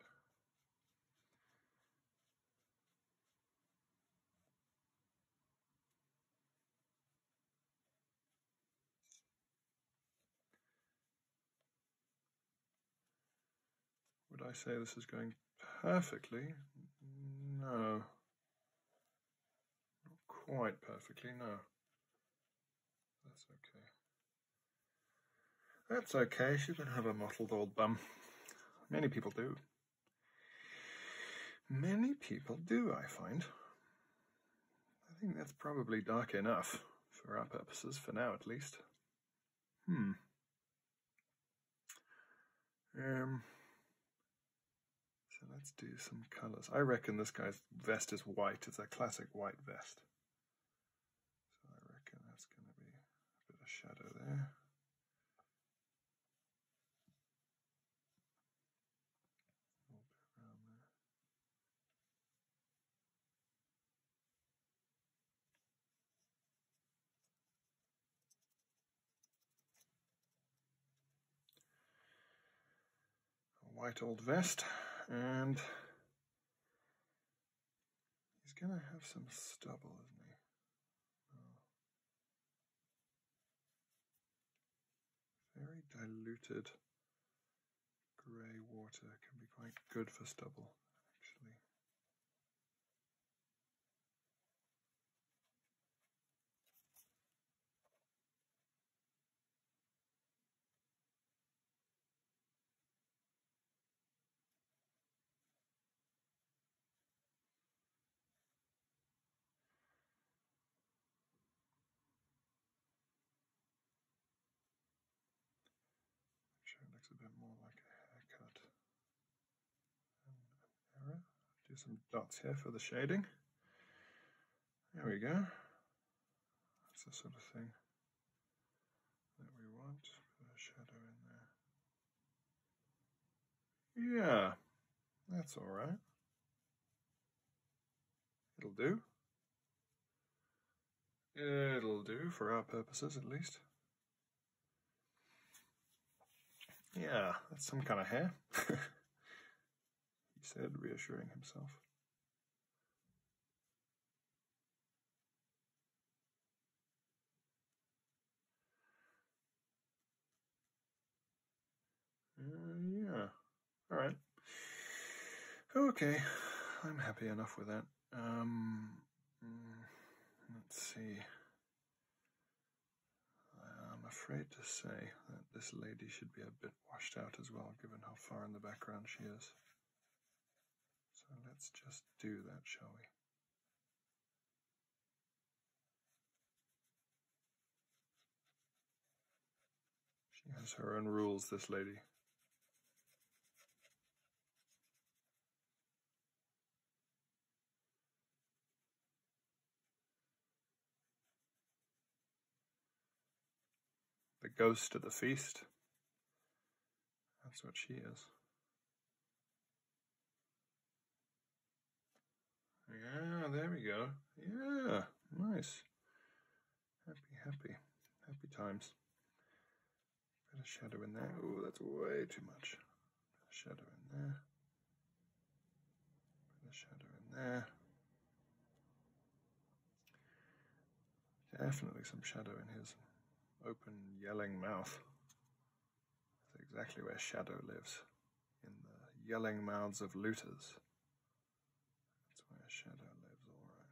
Would I say this is going perfectly? No. Not quite perfectly, no. That's okay. That's okay, she can have a mottled old bum. Many people do. Many people do, I find. I think that's probably dark enough for our purposes, for now at least. Hmm. Um, so let's do some colours. I reckon this guy's vest is white. It's a classic white vest. So I reckon that's going to be a bit of shadow there. A white old vest and he's gonna have some stubble isn't he oh. very diluted Grey water can be quite good for stubble, actually. Make sure it looks a bit more like a haircut. Do some dots here for the shading. There we go. That's the sort of thing that we want. Put a shadow in there. Yeah, that's all right. It'll do. It'll do, for our purposes at least. Yeah, that's some kind of hair, he said, reassuring himself. Uh, yeah, alright. Okay, I'm happy enough with that. Um, mm, let's see. I'm afraid to say that this lady should be a bit washed out as well, given how far in the background she is. So let's just do that, shall we? She has her own rules, this lady. The ghost of the feast. That's what she is. Yeah, there we go. Yeah, nice. Happy, happy, happy times. Bit of shadow in there. Oh, that's way too much. shadow in there. shadow in there. Definitely some shadow in his open, yelling mouth. That's exactly where shadow lives, in the yelling mouths of looters. That's where shadow lives, all right.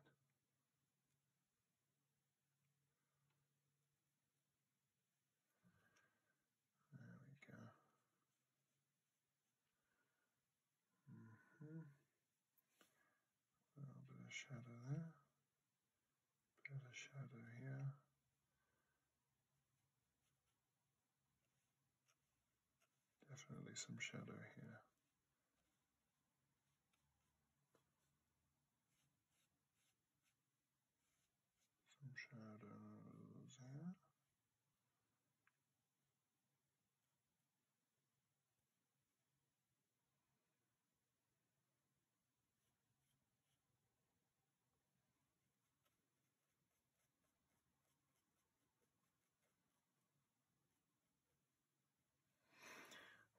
There we go. Mm-hmm. A little bit of shadow there, bit of shadow here. Definitely some shadow here. Some shadows here.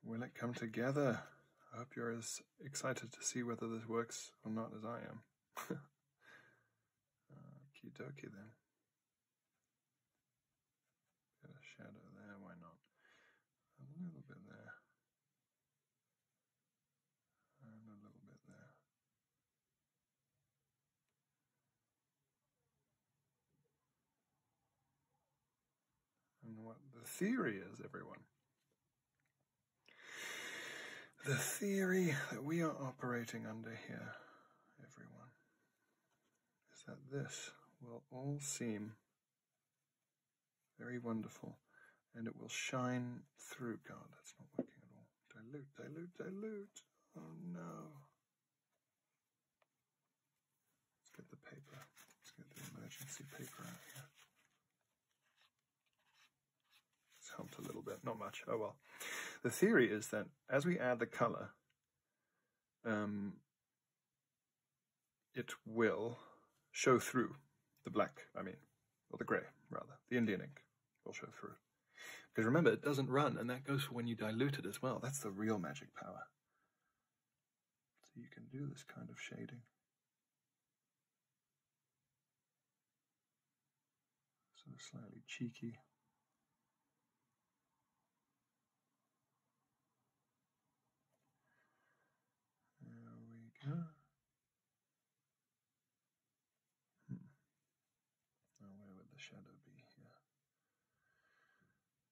Will it come together? I hope you're as excited to see whether this works or not as I am. Uh, okie dokie then. a shadow there, why not? A little bit there. And a little bit there and what the theory is, everyone. The theory that we are operating under here, everyone, is that this will all seem very wonderful and it will shine through. God, that's not working at all. Dilute, dilute, dilute. Oh no. Let's get the paper. Let's get the emergency paper out here. It's helped a little bit, not much. Oh well. The theory is that as we add the color, um, it will show through the black, I mean, or the grey, rather. The Indian ink will show through. Because remember, it doesn't run, and that goes for when you dilute it as well. That's the real magic power. So you can do this kind of shading. Sort of slightly cheeky. There we go. Hmm. where would the shadow be here?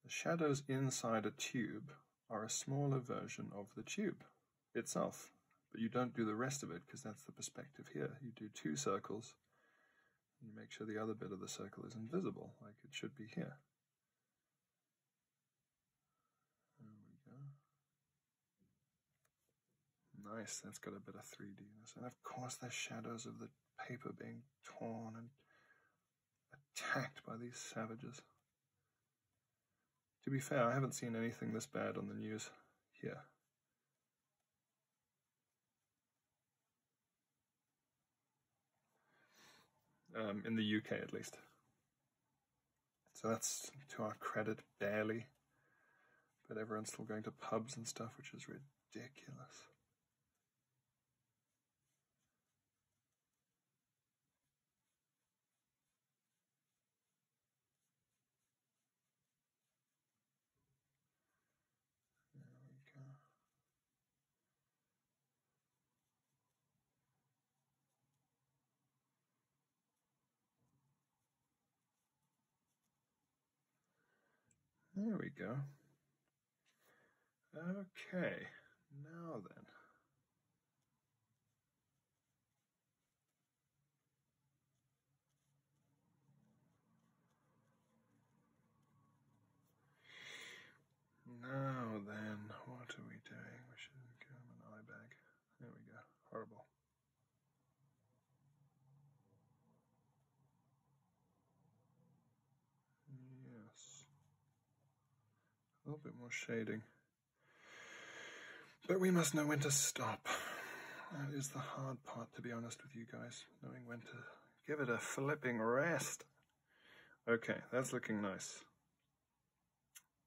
The shadows inside a tube are a smaller version of the tube itself, but you don't do the rest of it because that's the perspective here. You do two circles and you make sure the other bit of the circle is invisible, like it should be here. Nice, that's got a bit of 3Dness. And of course, there's shadows of the paper being torn and attacked by these savages. To be fair, I haven't seen anything this bad on the news here. Um, in the UK, at least. So that's to our credit, barely. But everyone's still going to pubs and stuff, which is ridiculous. There we go. There we go. Okay, now then. Now then, what are we doing? We should become an eye bag. There we go. Horrible. Yes. A little bit more shading. But we must know when to stop. That is the hard part, to be honest with you guys, knowing when to give it a flipping rest. Okay, that's looking nice.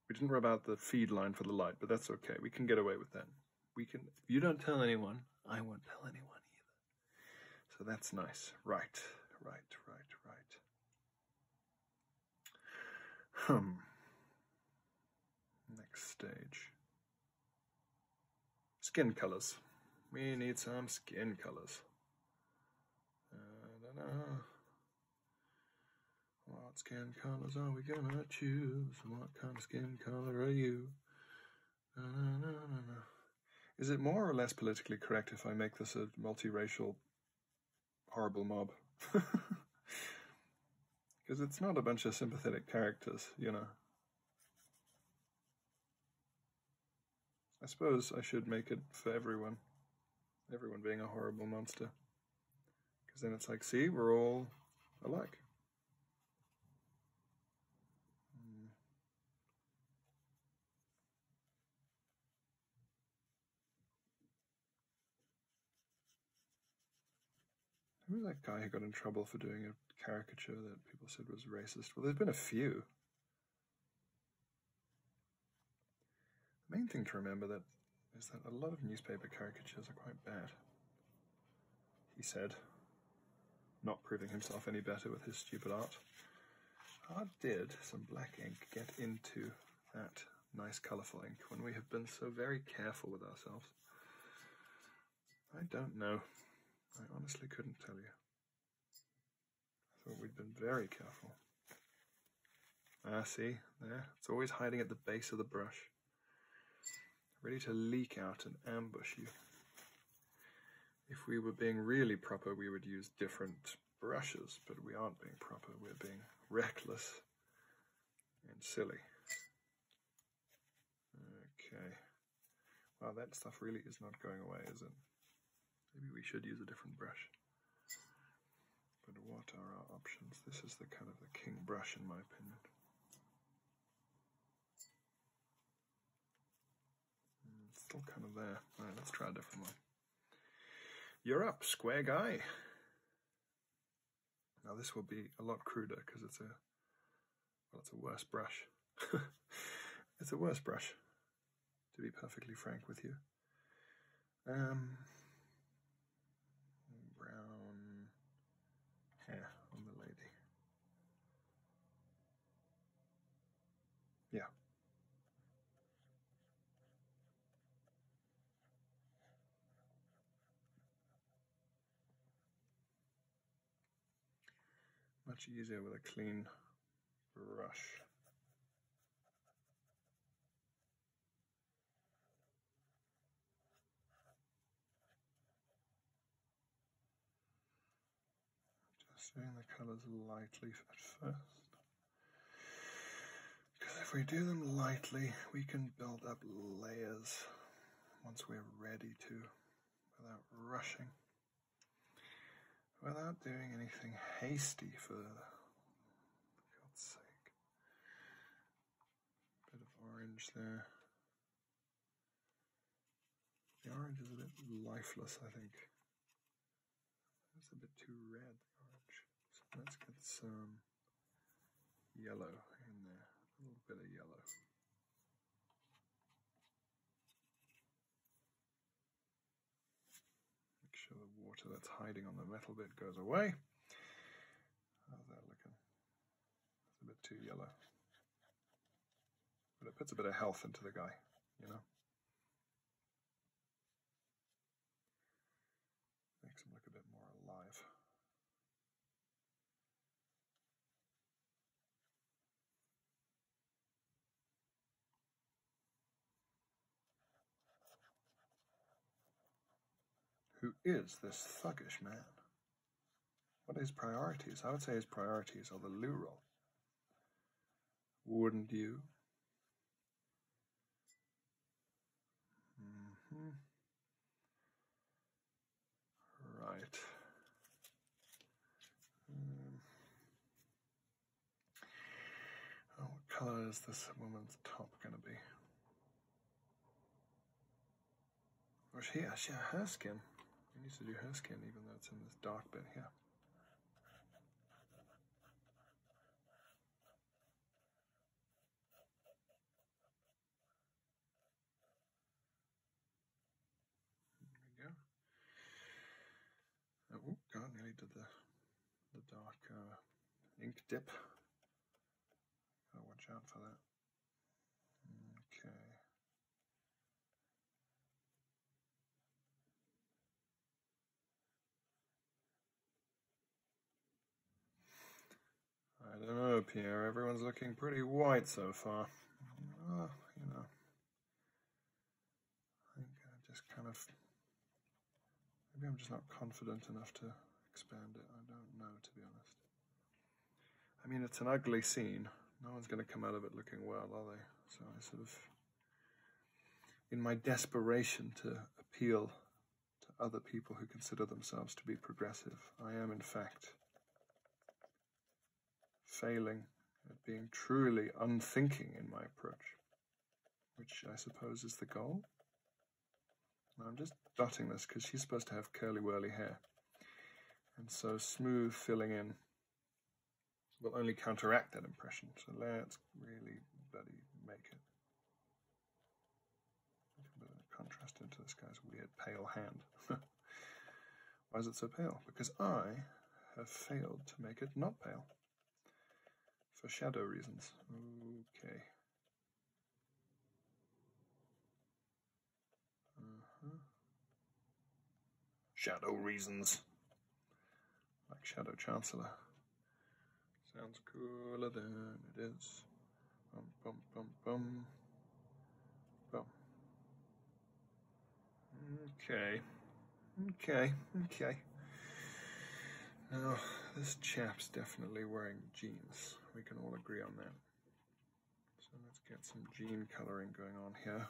We didn't rub out the feed line for the light, but that's okay. We can get away with that. We can. you don't tell anyone, I won't tell anyone either. So that's nice. Right, right, right, right. Hmm. Next stage. Skin colors. We need some skin colors. Uh, what skin colors are we gonna choose? What kind of skin color are you? Is it more or less politically correct if I make this a multiracial horrible mob. Because it's not a bunch of sympathetic characters, you know. I suppose I should make it for everyone. Everyone being a horrible monster. Because then it's like, see, we're all alike. Hmm. Who was that guy who got in trouble for doing a caricature that people said was racist? Well, there's been a few. The main thing to remember that is that a lot of newspaper caricatures are quite bad. He said, not proving himself any better with his stupid art. How did some black ink get into that nice colourful ink when we have been so very careful with ourselves? I don't know. I honestly couldn't tell you. I thought we'd been very careful. Ah, see, there. It's always hiding at the base of the brush. Ready to leak out and ambush you. If we were being really proper, we would use different brushes, but we aren't being proper, we're being reckless and silly. Okay. Well, that stuff really is not going away, is it? Maybe we should use a different brush. But what are our options? This is the kind of the king brush, in my opinion. Hmm, still kind of there. right, let's try a different one. You're up, square guy. Now this will be a lot cruder because it's a well, it's a worse brush. it's a worse brush, to be perfectly frank with you. Um, brown hair on the lady. Yeah, much easier with a clean brush. Just doing the colours lightly at first. Because if we do them lightly, we can build up layers once we're ready to without rushing, without doing anything hasty for God's sake. Bit of orange there. The orange is a bit lifeless, I think. That's a bit too red, orange. So let's get some yellow in there, a little bit of yellow. Make sure the water that's hiding on the metal bit goes away. How's that looking? That's a bit too yellow. But it puts a bit of health into the guy, you know? Makes them look a bit more alive. Who is this thuggish man? What are his priorities? I would say his priorities are the loo Wouldn't you? -hmm. Right. what color is this woman's top going to be? Or oh, she actually her skin. We need to do her skin, even though it's in this dark bit here. There we go. Oh god, nearly did the the dark uh, ink dip. watch out for that. Okay. I don't know, Pierre. Everyone's looking pretty white so far. you know, I think just kind of maybe I'm just not confident enough to expand it. I don't know, to be honest. I mean, it's an ugly scene. No one's going to come out of it looking well, are they? So I sort of, in my desperation to appeal to other people who consider themselves to be progressive. I am, in fact, failing at being truly unthinking in my approach, which I suppose is the goal. I'm just dotting this because she's supposed to have curly whirly hair. And so smooth filling in will only counteract that impression. So let's really bloody make it. Contrasted to this guy's weird pale hand. Why is it so pale? Because I have failed to make it not pale. For shadow reasons. Okay. Uh-huh. Shadow reasons. Like Shadow Chancellor. Sounds cooler than it is. Boom, boom, boom, boom. Bum. Okay. Okay, okay. Now, this chap's definitely wearing jeans. We can all agree on that. So let's get some jean coloring going on here.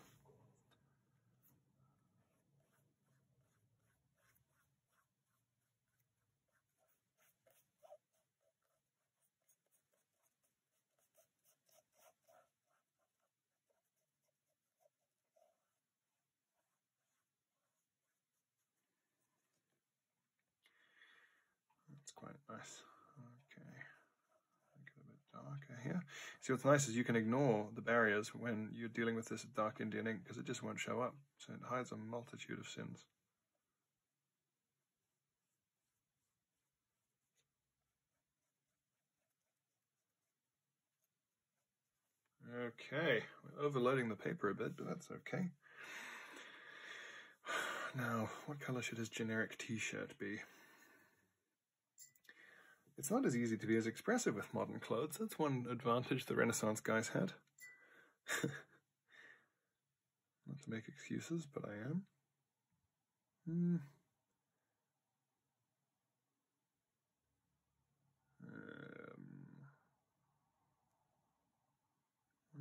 That's quite nice. Okay. Make it a bit darker here. See, what's nice is you can ignore the barriers when you're dealing with this dark Indian ink because it just won't show up so it hides a multitude of sins. Okay, we're overloading the paper a bit, but that's okay. Now, what color should his generic t-shirt be? It's not as easy to be as expressive with modern clothes. That's one advantage the Renaissance guys had. Not to make excuses, but I am. Hmm. Um,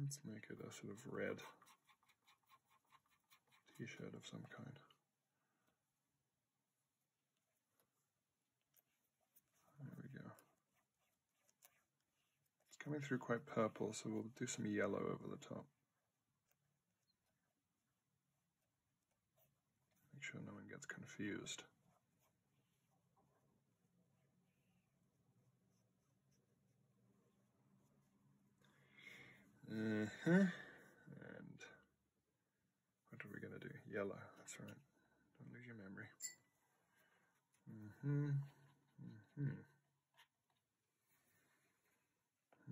let's make it a sort of red t shirt of some kind. There we go. It's coming through quite purple, so we'll do some yellow over the top. Make sure no one gets confused. Uh huh. And what are we going to do? Yellow. That's right. Don't lose your memory. Mm-hmm. Mm-hmm.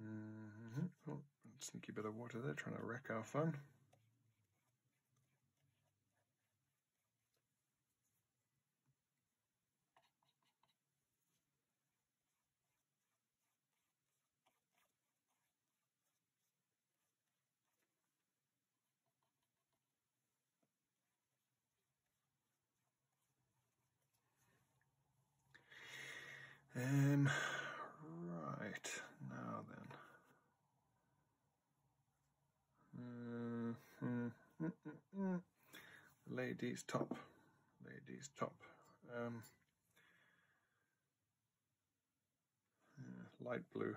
Mm-hmm. Oh, sneaky bit of water there trying to wreck our fun. Um, right, now then. Mm-hmm. Ladies top, ladies top. Um, light blue.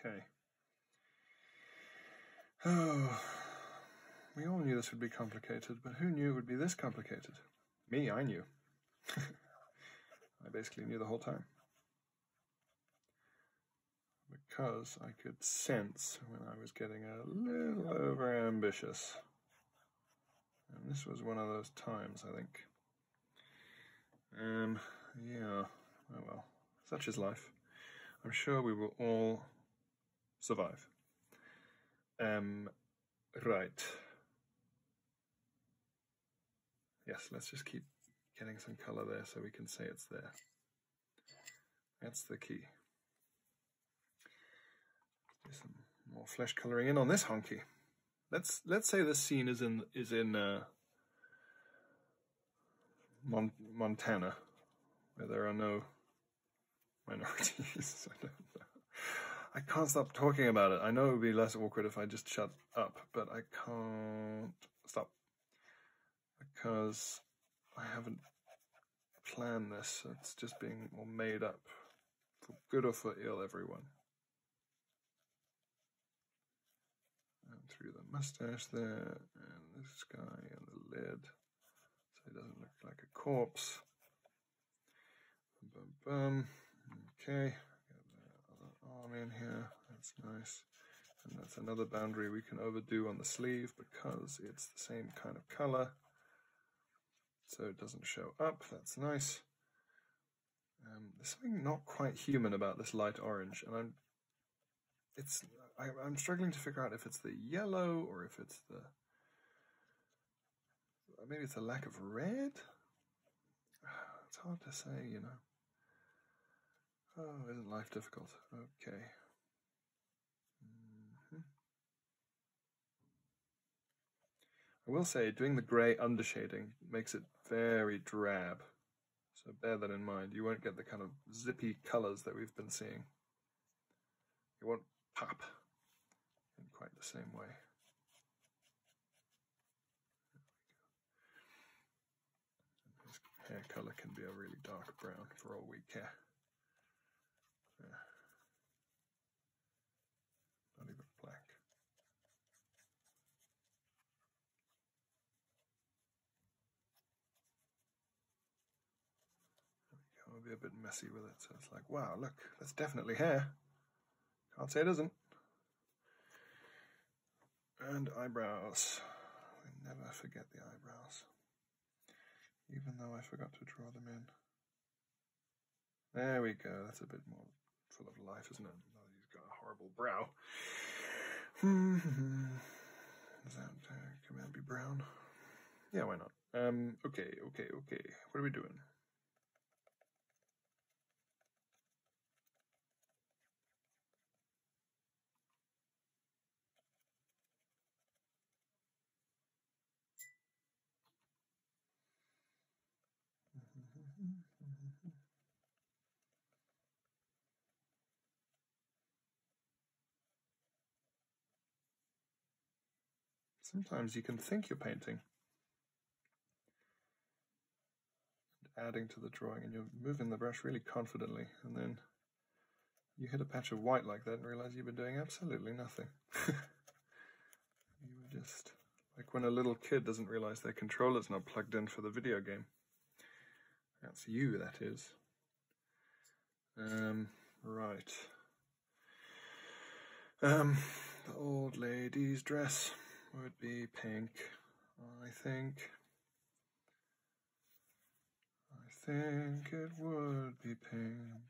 Okay. Oh, we all knew this would be complicated, but who knew it would be this complicated? Me, I knew. I basically knew the whole time. Because I could sense when I was getting a little overambitious. And this was one of those times, I think. Um, yeah, oh well, such is life. I'm sure we will all survive. Um, right. Yes, let's just keep getting some color there so we can say it's there. That's the key. some more flesh coloring in on this honky let's let's say this scene is in is in uh, Mon- Montana, where there are no minorities. I can't stop talking about it. I know it would be less awkward if I just shut up, but I can't stop because I haven't planned this. It's just being made up for good or for ill, everyone. And through the mustache there, and the guy, and the lid, so it doesn't look like a corpse. Bum, bum. Okay, get other arm in here. That's nice. And that's another boundary we can overdo on the sleeve because it's the same kind of color. So it doesn't show up. That's nice. Um, there's something not quite human about this light orange, and I'm it's I, am struggling to figure out if it's the yellow or if it's the maybe it's a lack of red. It's hard to say, you know. Oh, isn't life difficult? Okay. Mm-hmm. I will say, doing the grey undershading makes it very drab, so bear that in mind. You won't get the kind of zippy colours that we've been seeing. It won't pop in quite the same way. This hair colour can be a really dark brown for all we care. Not even black. I'll be a bit messy with it, so it's like, wow, look, that's definitely hair. Can't say it isn't. And eyebrows. I never forget the eyebrows. Even though I forgot to draw them in. There we go. That's a bit more full of life, isn't it? he's got a horrible brow. Does that uh, be brown? Yeah, why not? Um, okay, okay, okay. What are we doing? Sometimes you can think you're painting. And adding to the drawing, and you're moving the brush really confidently, and then you hit a patch of white like that and realize you've been doing absolutely nothing. You were just like when a little kid doesn't realize their controller's not plugged in for the video game. That's you, that is. Um, right. Um, the old lady's dress would be pink, I think. I think it would be pink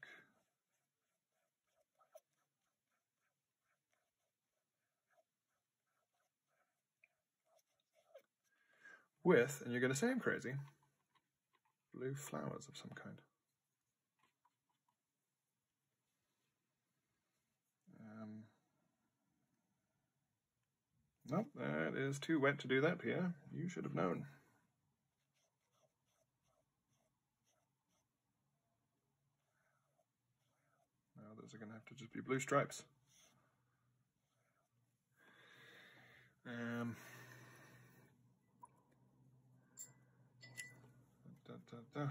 with, and you're going to say I'm crazy, blue flowers of some kind. Um, no, that is too wet to do that, Pierre. You should have known. Now those are going to have to just be blue stripes. Um, da,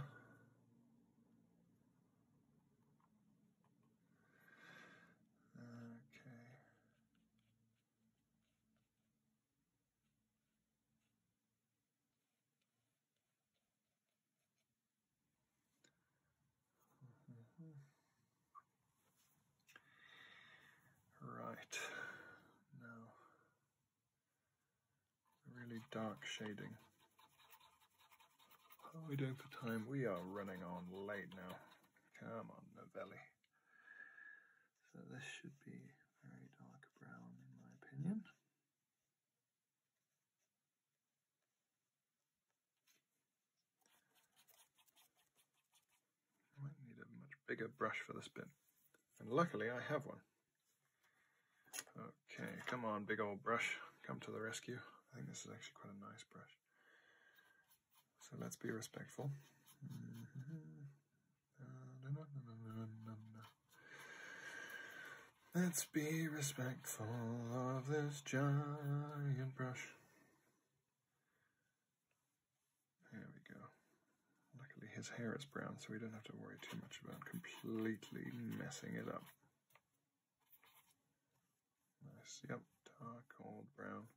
Mm-hmm. Right, now, really dark shading. How are we doing for time? We are running on late now. Come on, Novelli. So this should be very dark brown in my opinion. I might need a much bigger brush for this bit. And luckily I have one. Okay, come on, big old brush. Come to the rescue. I think this is actually quite a nice brush. So let's be respectful. Mm-hmm. Uh, Let's be respectful of this giant brush. There we go. Luckily, his hair is brown, so we don't have to worry too much about completely messing it up. Nice, yep, dark, old brown.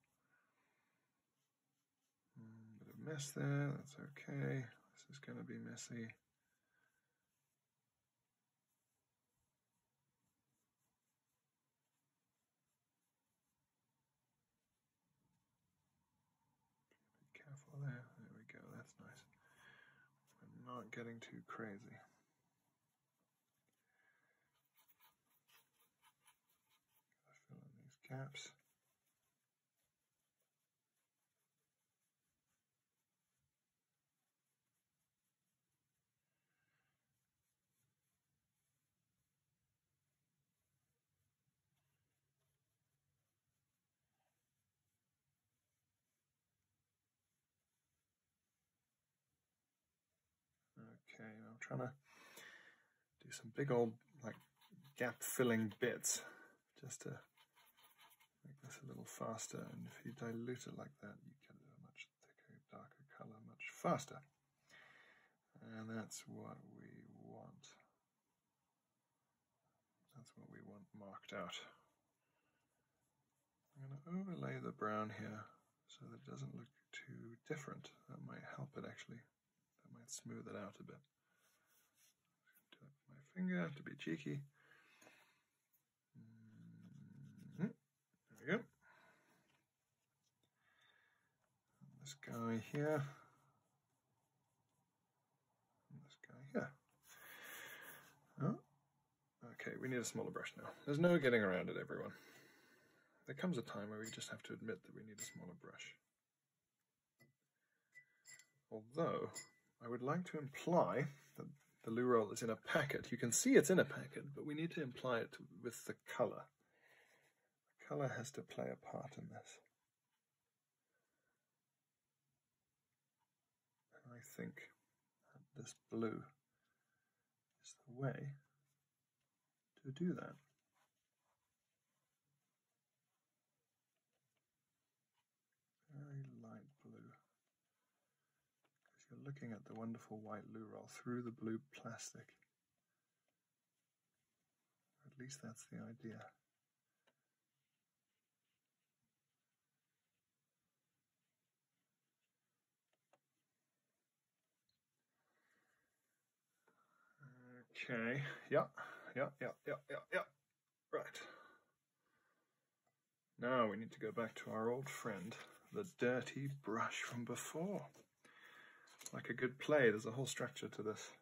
Mm, bit of mess there, that's okay. This is going to be messy. Be careful there. There we go. That's nice. I'm not getting too crazy. fill in these gaps. Okay, I'm trying to do some big old like gap filling bits just to Make this a little faster, and if you dilute it like that, you get a much thicker, darker color much faster. And that's what we want. That's what we want marked out. I'm going to overlay the brown here so that it doesn't look too different. That might help it actually. That might smooth it out a bit. my finger to be cheeky. Mm-hmm. There we go. This guy here. This guy here. Oh. Okay, we need a smaller brush now. There's no getting around it, everyone. There comes a time where we just have to admit that we need a smaller brush. Although, I would like to imply that the loo roll is in a packet. You can see it's in a packet, but we need to imply it with the color. The color has to play a part in this. And I think this blue is the way to do that very light blue. Because you're looking at the wonderful white loo roll through the blue plastic. At least that's the idea. Okay. Yeah. Yeah. Yeah. Yeah. Yeah. Yeah. Right. Now we need to go back to our old friend, the dirty brush from before. Like a good play, there's a whole structure to this.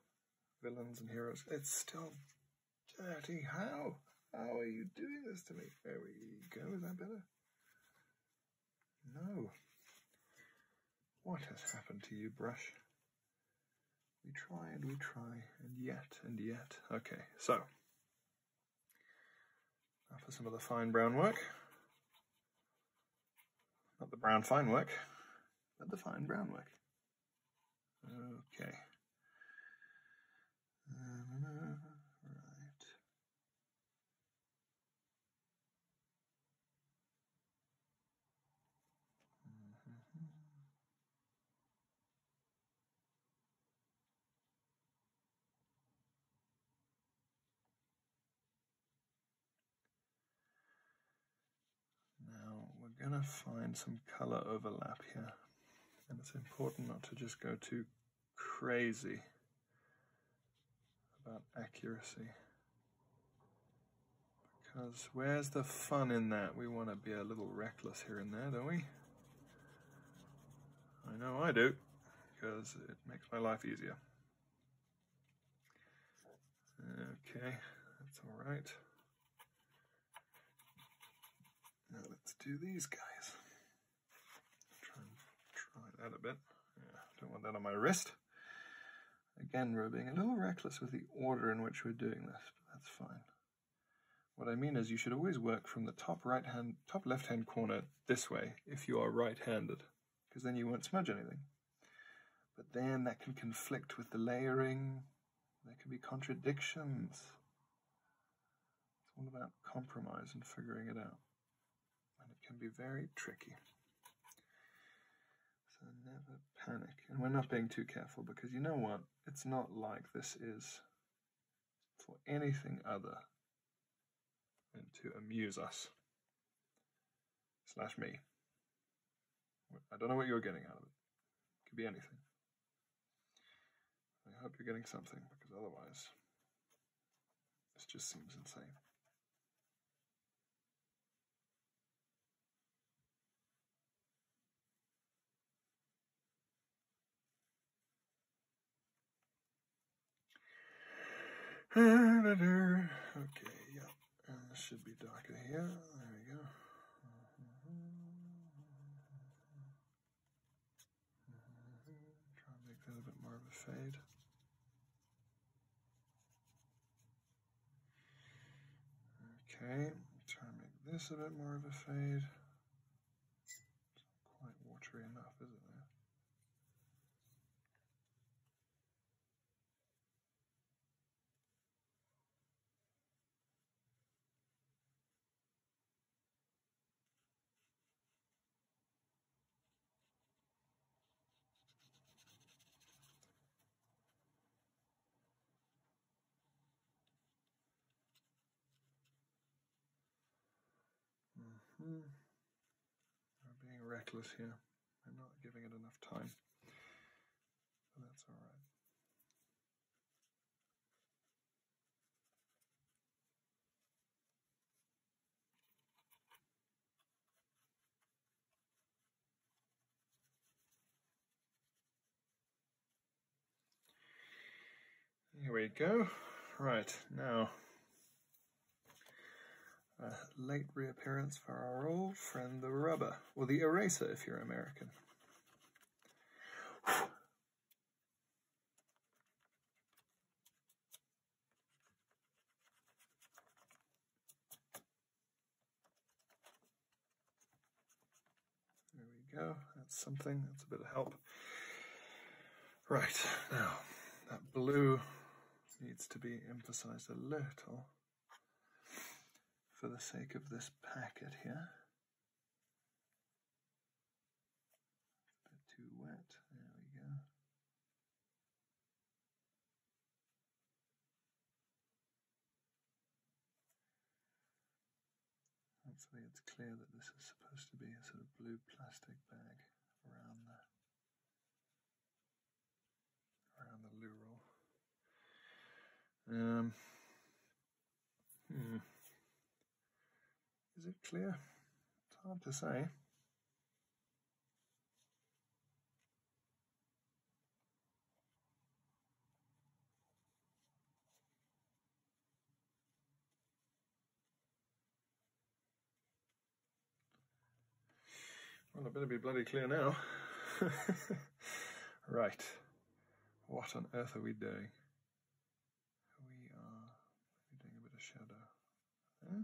Villains and heroes. It's still dirty. How? How are you doing this to me? There we go. Is that better? No. What has happened to you, brush? We try and we try, and yet and yet. Okay, so for some of the fine brown work. Not the brown fine work, but the fine brown work. Okay. Uh, right. Mm-hmm. Now we're going to find some color overlap here, and it's important not to just go too crazy about accuracy. Because where's the fun in that? We want to be a little reckless here and there, don't we? I know I do, because it makes my life easier. Okay, that's all right. Now let's do these guys. Try that a bit. don't want that on my wrist. Again, we're being a little reckless with the order in which we're doing this, but that's fine. What I mean is you should always work from the top right hand, top left hand corner this way if you are right handed, because then you won't smudge anything. But then that can conflict with the layering, there can be contradictions. It's all about compromise and figuring it out, and it can be very tricky. So never panic, and we're not being too careful because you know what? It's not like this is for anything other than to amuse us. Slash me. I don't know what you're getting out of it. It could be anything. I hope you're getting something, because otherwise, this just seems insane. Okay, yeah, and uh, this should be Docker here. There we go. Try and make that a bit more of a fade. Okay, try to make this a bit more of a fade. It's not quite watery enough, isn't it? Mm-hmm. I'm being reckless here. I'm not giving it enough time. that's all right. Here we go. Right, now, a late reappearance for our old friend the rubber, or the eraser if you're American. There we go, that's something, that's a bit of help. Right, now that blue needs to be emphasized a little for the sake of this packet here. bit too wet, there we go. Hopefully it's clear that this is supposed to be a sort of blue plastic bag around the around the loo Um, hmm. Is it clear? It's hard to say. Well, I better be bloody clear now. right. What on earth are we doing? We are doing a bit of shadow there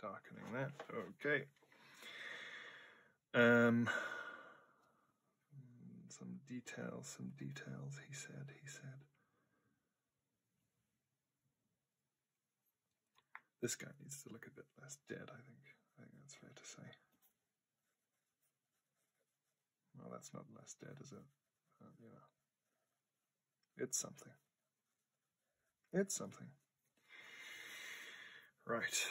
darkening that. Okay. Um, some details, some details, he said, he said. This guy needs to look a bit less dead, I think. I think that's fair to say. Well, that's not less dead, is it? Um, it's something. It's something. Right.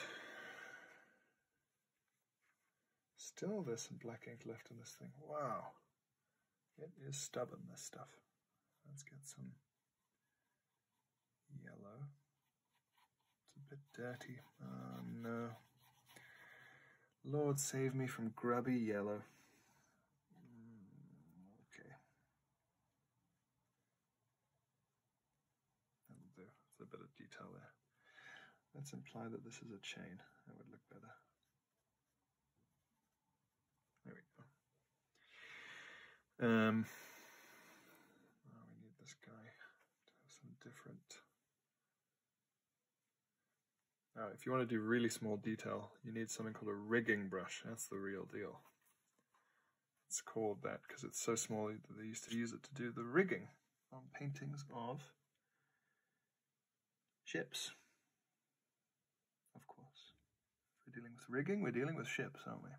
Still there's some black ink left in this thing. Wow. It is stubborn, this stuff. Let's get some yellow. It's a bit dirty. Oh no. Lord save me from grubby yellow. Mm, okay. That'll do. a bit of detail there. Let's imply that this is a chain. That would look better. There we go. Um, we need this guy some different. Now, if you want to do really small detail, you need something called a rigging brush. That's the real deal. It's called that because it's so small they used to use it to do the rigging on paintings of ships. Of course. we're dealing with rigging, we're dealing with ships, aren't we?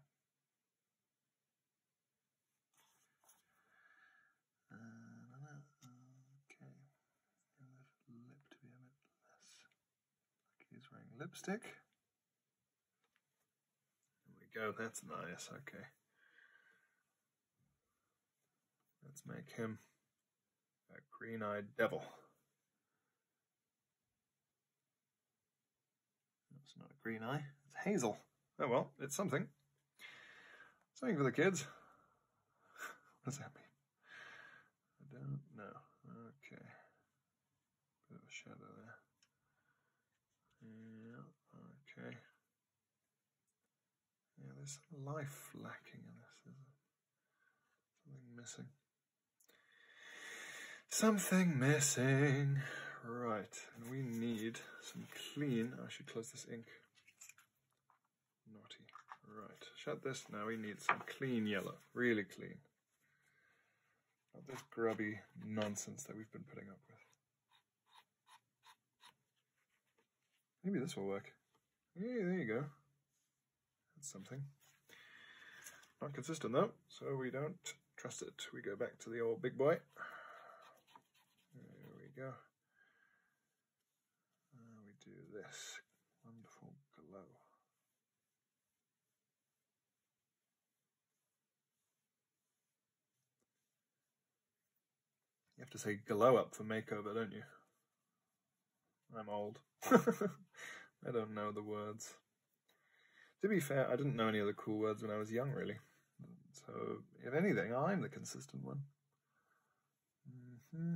Uh, lip to be a bit less. Like he's wearing lipstick. There we go. That's nice. Okay. Let's make him a green eyed devil. It's not a green eye, it's hazel. Oh well, it's something. Something for the kids. what does that mean? I don't know. Okay. Bit of a shadow there. Yeah, okay. Yeah, there's life lacking in this, Something missing. Something missing. Right, we need some clean. Oh, I should close this ink. Naughty. Right, shut this. Now we need some clean yellow. Really clean. Not this grubby nonsense that we've been putting up with. Maybe this will work. Yeah, there you go. That's something. Not consistent though, so we don't trust it. We go back to the old big boy. There we go. we do this wonderful glow. You have to say glow up for makeover, don't you? I'm old. I don't know the words. To be fair, I didn't know any other cool words when I was young, really. So, if anything, I'm the consistent one. Mm-hmm.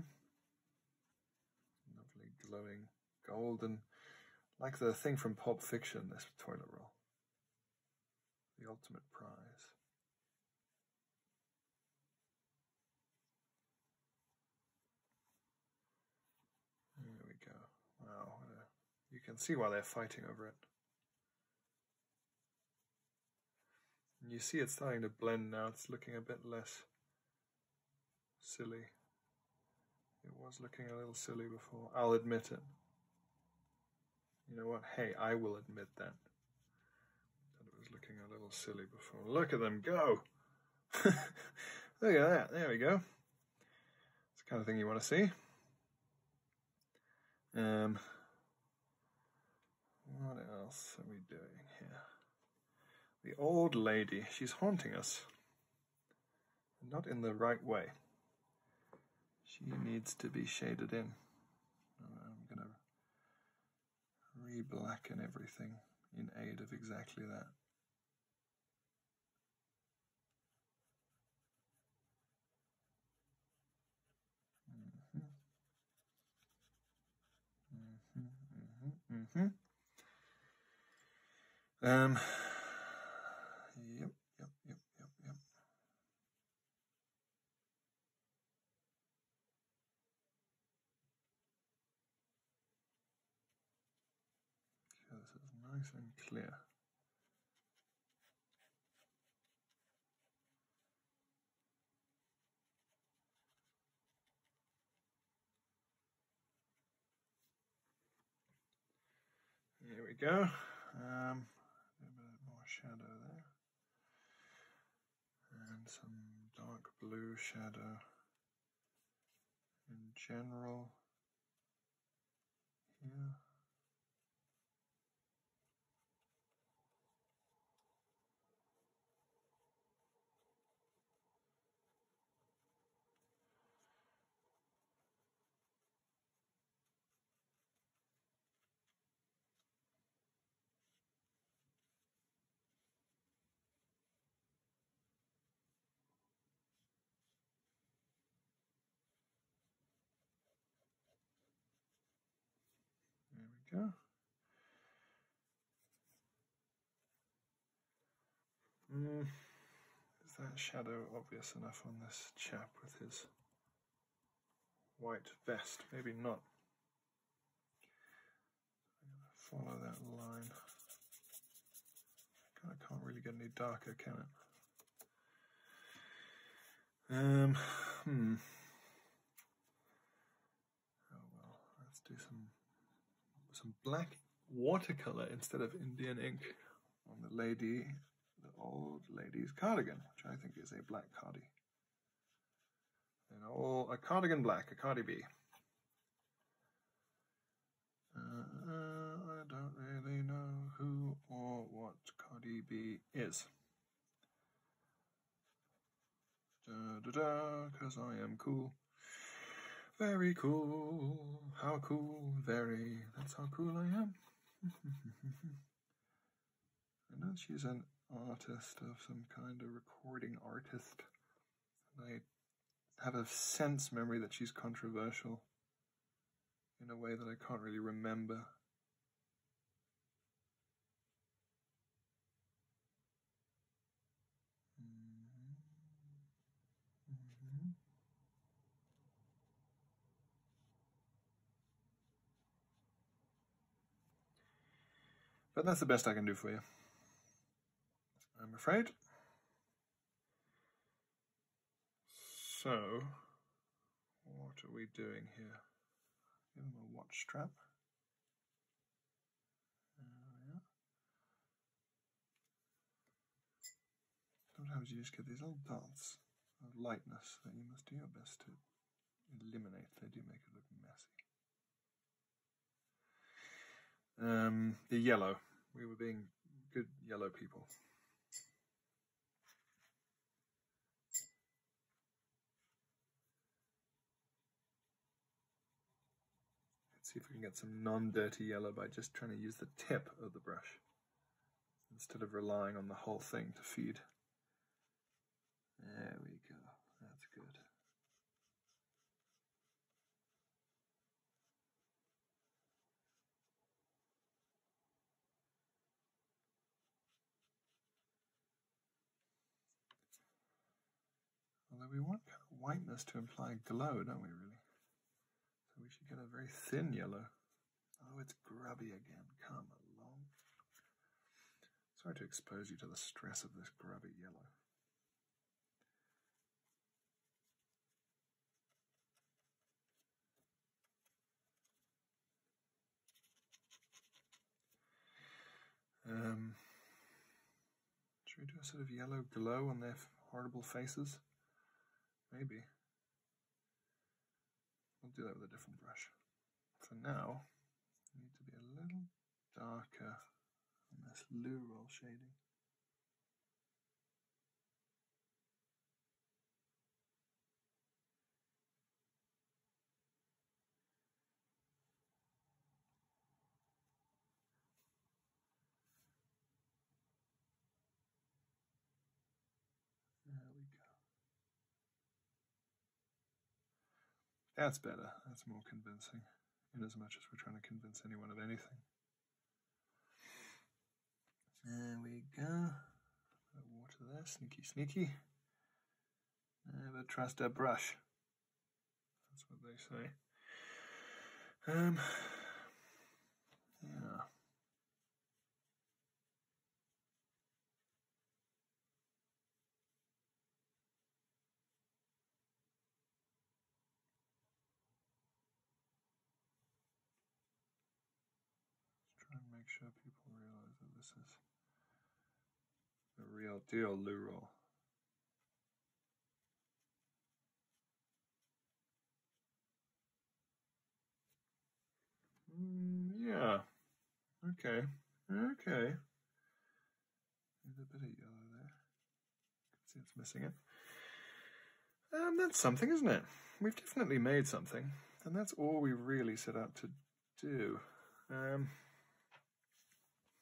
Lovely, glowing, golden. Like the thing from Pulp Fiction, this toilet roll the ultimate prize. There we go. Wow, you can see why they're fighting over it. you see it's starting to blend now, it's looking a bit less silly. It was looking a little silly before. I'll admit it. You know what? Hey, I will admit that. That it was looking a little silly before. Look at them go! Look at that. There we go. It's the kind of thing you want to see. Um, what else are we doing here? The old lady. She's haunting us. Not in the right way. She needs to be shaded in. I'm going to re-blacken everything in aid of exactly that. Mm-hmm. Mm-hmm. Mm-hmm. Um. Yep yep, yep, yep, yep. Okay, this is nice and clear. There we go. Um, a bit more shadow there. And some dark blue shadow in general here. There we go. Mm, is that shadow obvious enough on this chap with his white vest. Maybe not. follow that line. I can't really get any darker, can it? Um, hmm. Oh well, let's do some some black watercolor instead of Indian ink on the lady, the old lady's cardigan, which I think is a black cardie, And all a cardigan black, a cardie B. Uh, I don't really know who or what Cardie B is. Da da da, cause I am cool. Very cool. How cool, very. That's how cool I am. I know she's an artist of some kind, a recording artist. I have a sense memory that she's controversial in a way that I can't really remember. Mm-hmm. Mm-hmm. But that's the best I can do for you. I'm afraid. So, what are we doing here? Give him a watch strap. There we are. Sometimes you just get these little dots of lightness that you must do your best to eliminate. They do make it look messy. Um, the yellow. We were being good yellow people. Let's see if we can get some non-dirty yellow by just trying to use the tip of the brush instead of relying on the whole thing to feed. There we go, that's good. Although we want whiteness to imply glow, don't we, really? So we should get a very thin yellow. Oh, it's grubby again. Come along. Sorry to expose you to the stress of this grubby yellow. Um, should we do a sort of yellow glow on their horrible faces? Maybe. I'll do that with a different brush. For now, I need to be a little darker on this loral shading. There we go. That's better. That's more convincing, in as much as we're trying to convince anyone of anything. There we go. Water there, sneaky, sneaky. Never trust a brush. That's what they say. Um, yeah. Let's try and make sure people realize that this is the real deal loo roll. Mm, yeah. Okay. Okay. There's a bit of yellow there. see it's missing it. Um, that's something, isn't it? We've definitely made something, and that's all we really set out to do. Um,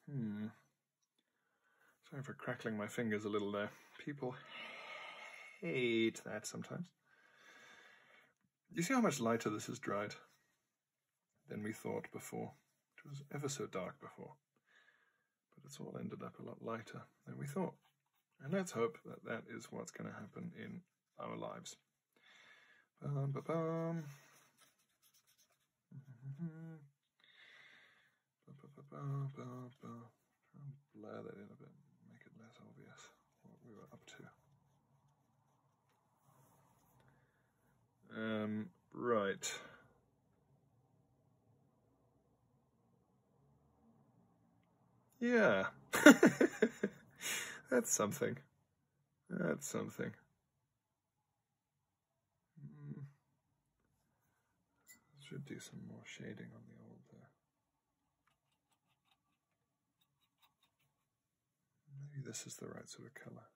hmm. Sorry for crackling my fingers a little there. People hate that sometimes. You see how much lighter this has dried than we thought before. It was ever so dark before, but it's all ended up a lot lighter than we thought. And let's hope that that is what's going to happen in our lives blur that in a bit, make it less obvious what we were up to. Um, right. Yeah. That's something. That's something. Hmm. Should do some more shading on the old uh, Maybe this is the right sort of color.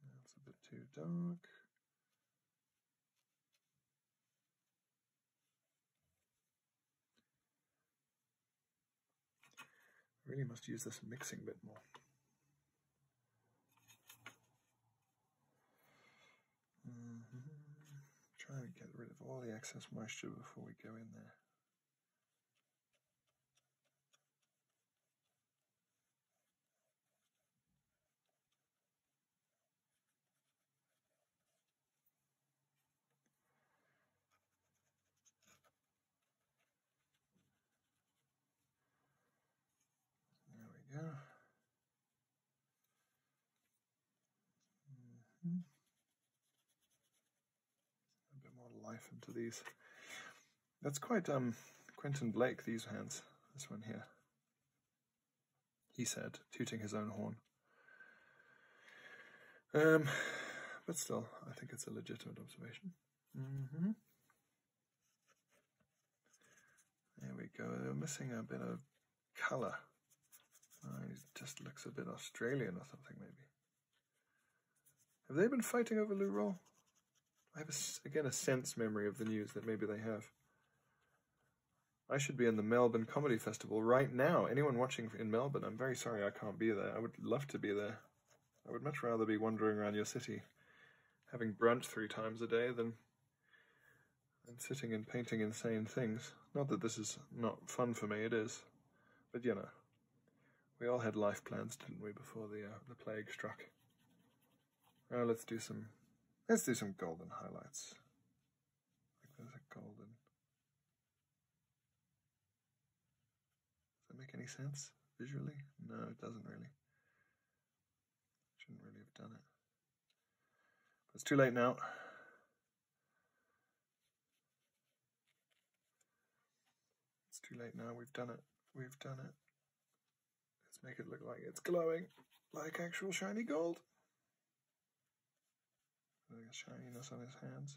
That's a bit too dark. really must use this mixing bit more. Mm-hmm. Trying to get rid of all the excess moisture before we go in there. There we go. Mm-hmm. A bit more life into these. That's quite um Quentin Blake, these hands. This one here. He said, tooting his own horn. Um, but still, I think it's a legitimate observation. Mm-hmm. There we go. They're missing a bit of colour. It oh, just looks a bit Australian or something, maybe. Have they been fighting over Lurol? I have, again, a sense memory of the news that maybe they have. I should be in the Melbourne Comedy Festival right now. Anyone watching in Melbourne, I'm very sorry I can't be there. I would love to be there. I would much rather be wandering around your city, having brunch three times a day, than, than sitting and painting insane things. Not that this is not fun for me, it is. But you know, we all had life plans, didn't we, before the, uh, the plague struck. Now let's do some, let's do some golden highlights. Like there's a golden... Does that make any sense visually? No, it doesn't really. Shouldn't really have done it. it's too late now. It's too late now. We've done it. We've done it. Let's make it look like it's glowing like actual shiny gold. Like on his hands.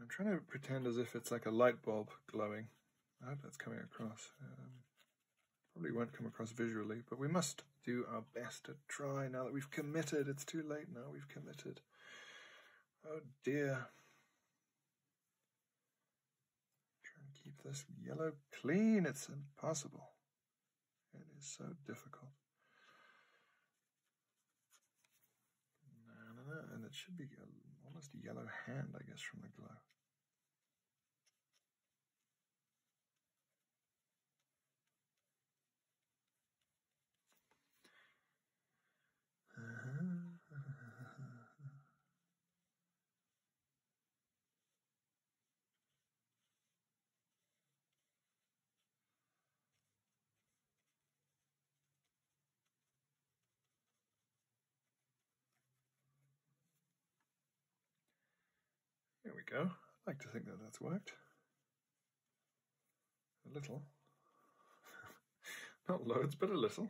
I'm trying to pretend as if it's like a light bulb glowing. I uh, hope that's coming across. Um, probably won't come across visually, but we must do our best to try now that we've committed. It's too late now, we've committed. Oh dear. Try and keep this yellow clean. It's impossible. It is so difficult. And it should be almost a yellow hand, I guess, from the glow. Uh-huh. There we go. I like to think that that's worked. A little. Not loads, but a little.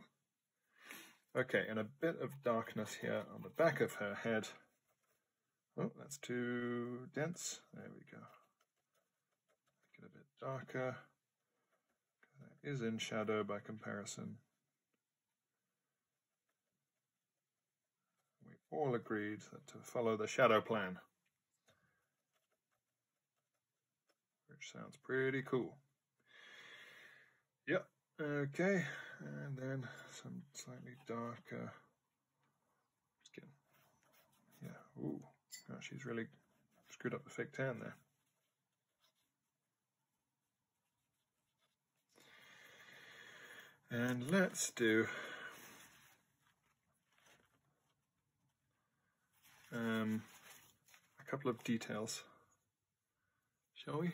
Okay, and a bit of darkness here on the back of her head. Oh, that's too dense. There we go. Make it a bit darker. That is in shadow by comparison. We all agreed that to follow the shadow plan, which sounds pretty cool. Yeah, okay. And then some slightly darker skin. Yeah, ooh. Oh, she's really screwed up the fake tan there. And let's do um, a couple of details, shall we?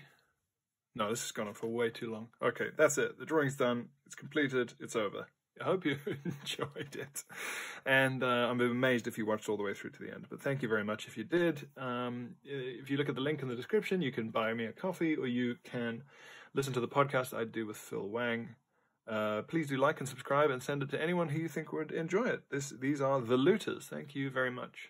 No, this has gone on for way too long. Okay, that's it. The drawing's done. It's completed. It's over. I hope you enjoyed it. And uh, I'm amazed if you watched all the way through to the end. But thank you very much if you did. Um, if you look at the link in the description, you can buy me a coffee or you can listen to the podcast I do with Phil Wang. Uh, please do like and subscribe and send it to anyone who you think would enjoy it. This, these are The Looters. Thank you very much.